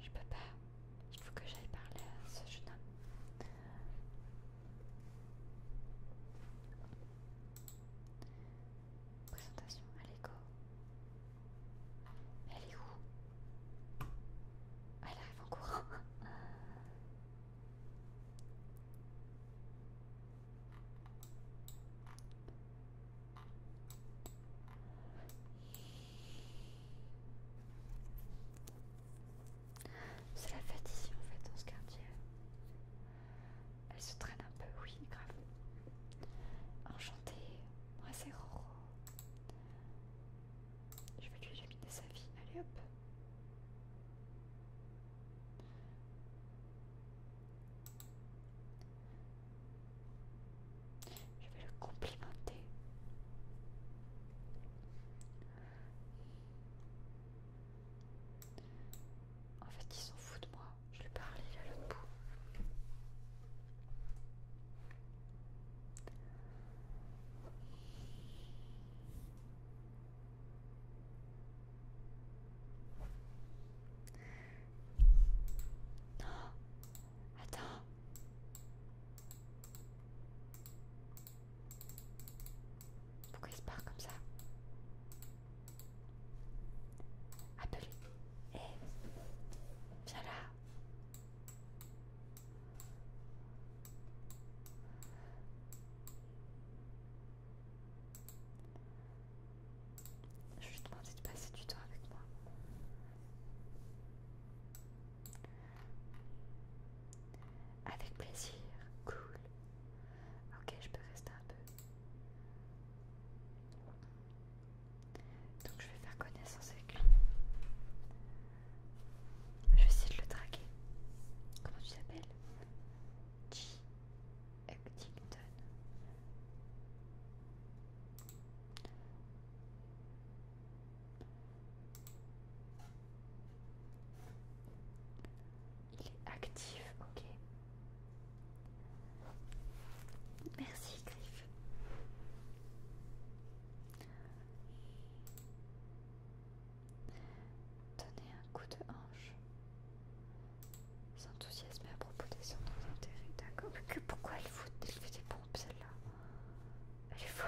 Je peux pas. Il faut que j'aille parler à ce jeune homme. Présentation à l'école. Elle est où Elle arrive en courant. C'est la fête ici en fait dans ce quartier. Elle se traîne un peu, oui, grave. Enchantée, moi c'est Roro. Je vais lui de sa vie, allez hop. Je vais le complimenter. En fait, il s'en fout de moi. Je lui parle, à l'autre bout. Non, Attends. Pourquoi il se barre comme ça Appelez. Hé eh, hey. Viens là. Je lui demandais de passer du temps avec moi. Avec plaisir, cool. Ok, je peux rester un peu. Donc je vais faire connaissance avec lui. Je vais essayer de le traquer. Comment tu t'appelles G. Huntington. Il est actif, ok. Merci, Griff. Donnez un coup de hanche. S'enthousiasmer à propos des centres d'intérêt, d'accord. Pourquoi elle, faut elle des pompes, celle-là elle est folle.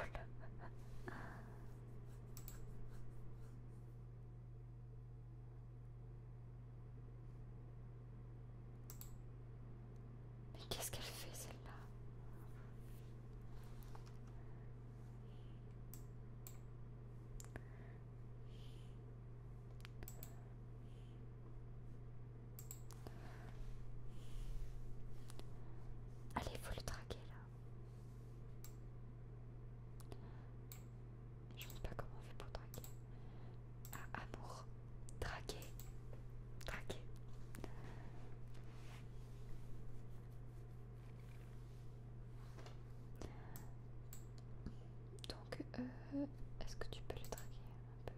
Mais qu'est-ce qu'elle fait celle-là Allez, faut le traquer là. Je ne sais pas comment on fait pour traquer. Ah, amour. Traquer. Traquer. Donc, euh, est-ce que tu peux le traquer un peu là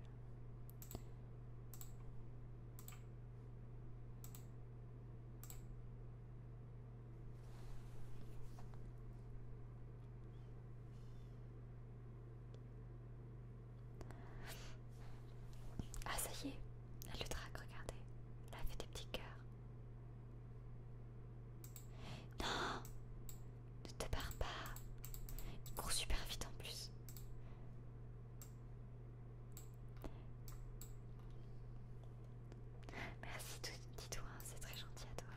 ah ça y est, elle le traque, regardez. Elle fait des petits cœurs. Non Ne te barre pas Il court super vite en plus. Merci, dis-toi, hein, c'est très gentil à toi.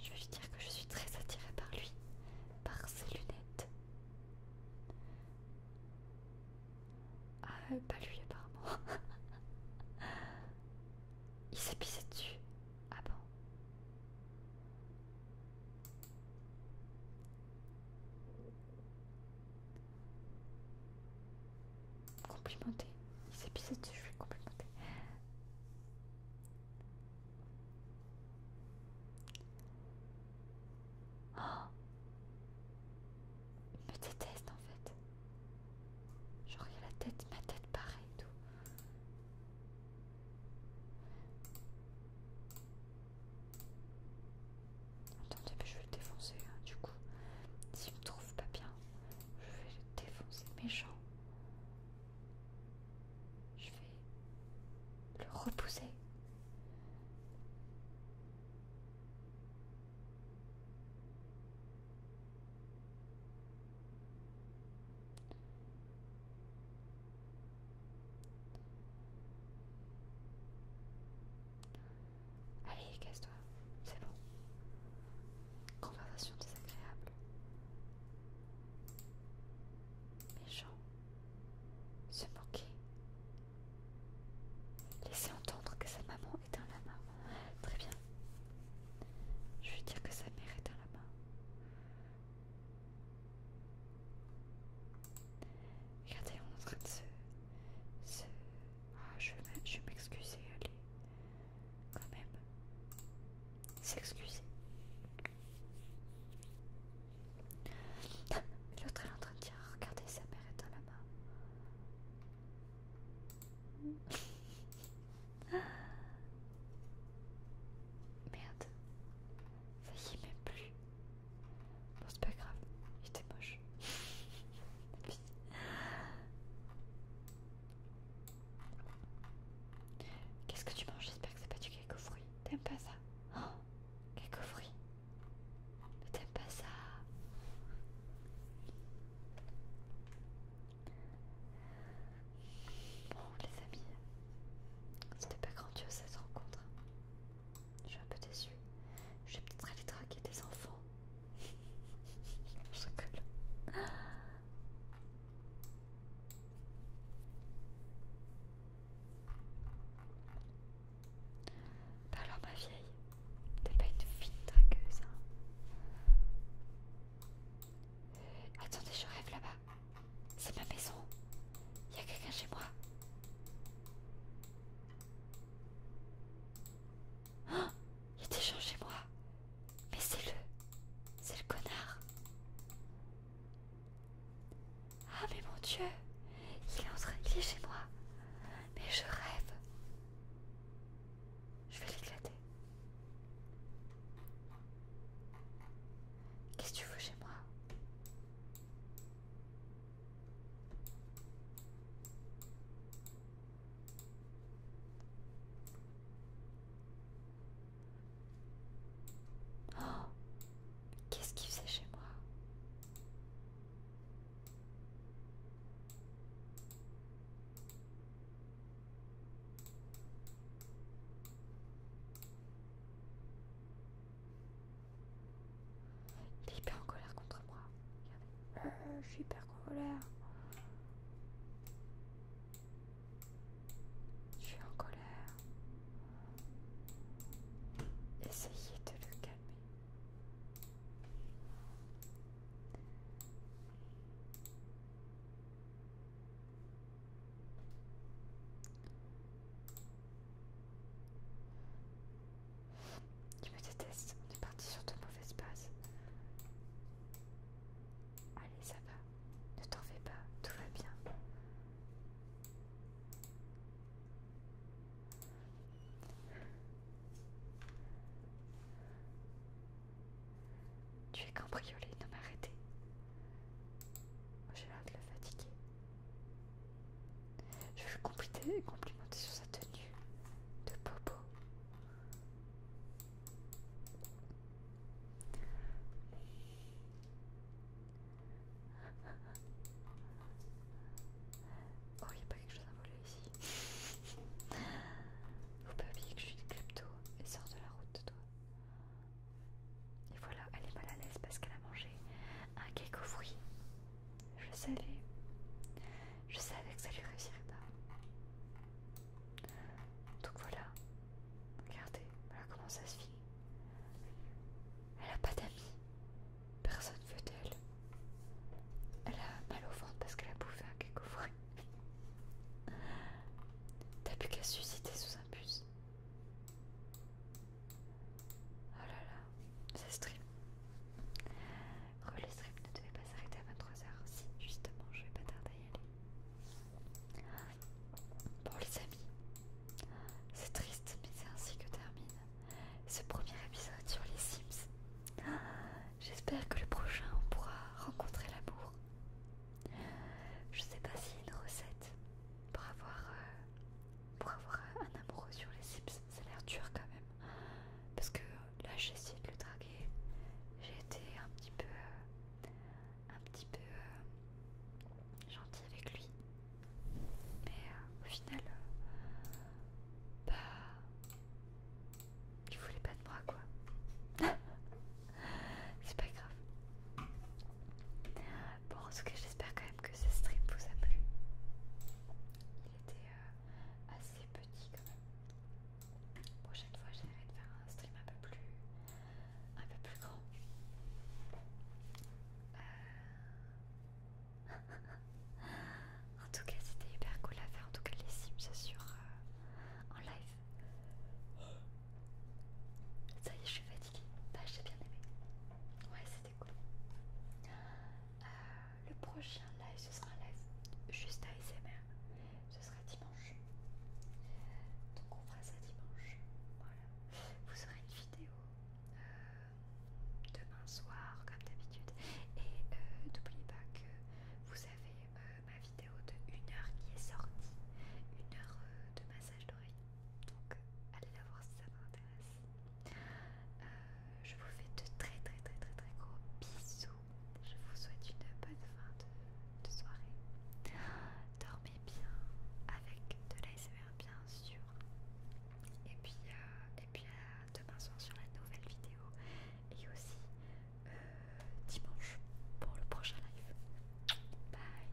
Je veux dire que je suis très attirée par lui, par ses lunettes. Ah, euh, pas lui apparemment. Il s'est pissé dessus. Ah bon Complimenter. Il s'est je vais complimenter. Oh Il me déteste en fait. Genre il a la tête, ma tête pareil tout. Attendez, mais je vais le défoncer. Hein, du coup, s'il me trouve pas bien, je vais le défoncer méchant. Je vais le repousser. Allez, casse-toi, c'est bon. Conversation désagréable. Méchant. Se moquer. Laisser entendre que sa maman est un lama. Très bien. Je vais dire que sa mère est un lama. Regardez, on est en train de se. Ah, je vais m'excuser, allez. Quand même. S'excuser. Ah, l'autre est en train de dire regardez sa mère est dans la main. Merde. Ça y est même plus. Bon, c'est pas grave, il était moche. Qu'est-ce que tu manges J'espère que c'est pas du cake fruit. T'aimes pas ça oh, fruit. t'aimes pas ça Bon les amis, c'était pas grandiose cette rencontre. Je suis un peu déçue. Je vais peut-être aller draguer des enfants. Je Bah alors ma vieille, t'es pas une fine dragueuse hein. Attendez, je rêve là-bas. C'est ma maison. Il y a quelqu'un chez moi. Il oh, y a des gens chez moi. Mais c'est le... C'est le connard. Ah mais mon Dieu. Il est, en train... Il est chez moi. Mais je rêve. Je vais l'éclater. Qu'est-ce que tu veux chez moi Qu'est-ce qu'il faisait chez moi il est hyper en colère contre moi. Euh, je suis hyper en colère. Je suis en colère. Essayez de le calmer. Tu me détestes, on est parti sur ton mauvais espace. Allez, ça va, ne t'en fais pas, tout va bien. Tu es cambriolé, non m'arrêtez. J'ai l'air de le fatiguer. Je vais complimenter sur sa tenue de Popo. Oh, il n'y a pas quelque chose à voler ici. Faut pas oublier que je suis une klepto et sort de la route, toi. Et voilà, elle est mal à l'aise parce qu'elle a mangé un cake aux fruits. Je savais. Je savais que ça lui réussirait pas. Donc voilà. Regardez, voilà comment ça se finit. Elle a pas d'amis. Personne veut d'elle. Elle a mal au ventre parce qu'elle a bouffé un cake aux fruits. T'as plus qu'à susciter sous un bus. Oh là là, c'est stream. Le stream ne devait pas s'arrêter à 23h. Si, justement, je vais pas tarder à y aller. Bon, les amis, c'est triste, mais c'est ainsi que termine ce premier épisode sur les Sims. J'espère que le prochain, on pourra rencontrer l'amour. Je sais pas s'il y a une recette pour avoir euh, pour avoir un amoureux sur les cips, ça a l'air dur quand même. Parce que là, j'ai essayé de le draguer, j'ai été un petit peu, euh, un petit peu euh, gentil avec lui, mais euh, au final, bah, il voulait pas de moi quoi. C'est pas grave. Bon, en tout cas, j'espère que que ce stream vous a plu. Il était euh, assez petit quand même. prochaine fois, j'essaierai de faire un stream un peu plus, un peu plus grand. Euh. en tout cas, c'était hyper cool à faire. En tout cas, les sims sur euh, en live. Ça y est, je suis fatiguée. Bah, j'ai bien aimé. Ouais, euh, le prochain live, ce sera un live juste ASMR. Ce sera dimanche. Donc on fera ça dimanche. Voilà. Vous aurez une vidéo euh, demain soir, comme d'habitude. Et euh, n'oubliez pas que vous avez ma vidéo de 1 heure qui est sortie. Une heure de massage d'oreilles donc allez la voir si ça vous intéresse. Euh, je vous fais de très très très très très gros bisous. Je vous souhaite une bonne fin de, soirée. Dormez bien avec de l'ASMR bien sûr. Et puis, euh, et puis à demain soir sur la nouvelle vidéo. Et aussi euh, dimanche pour le prochain live. Bye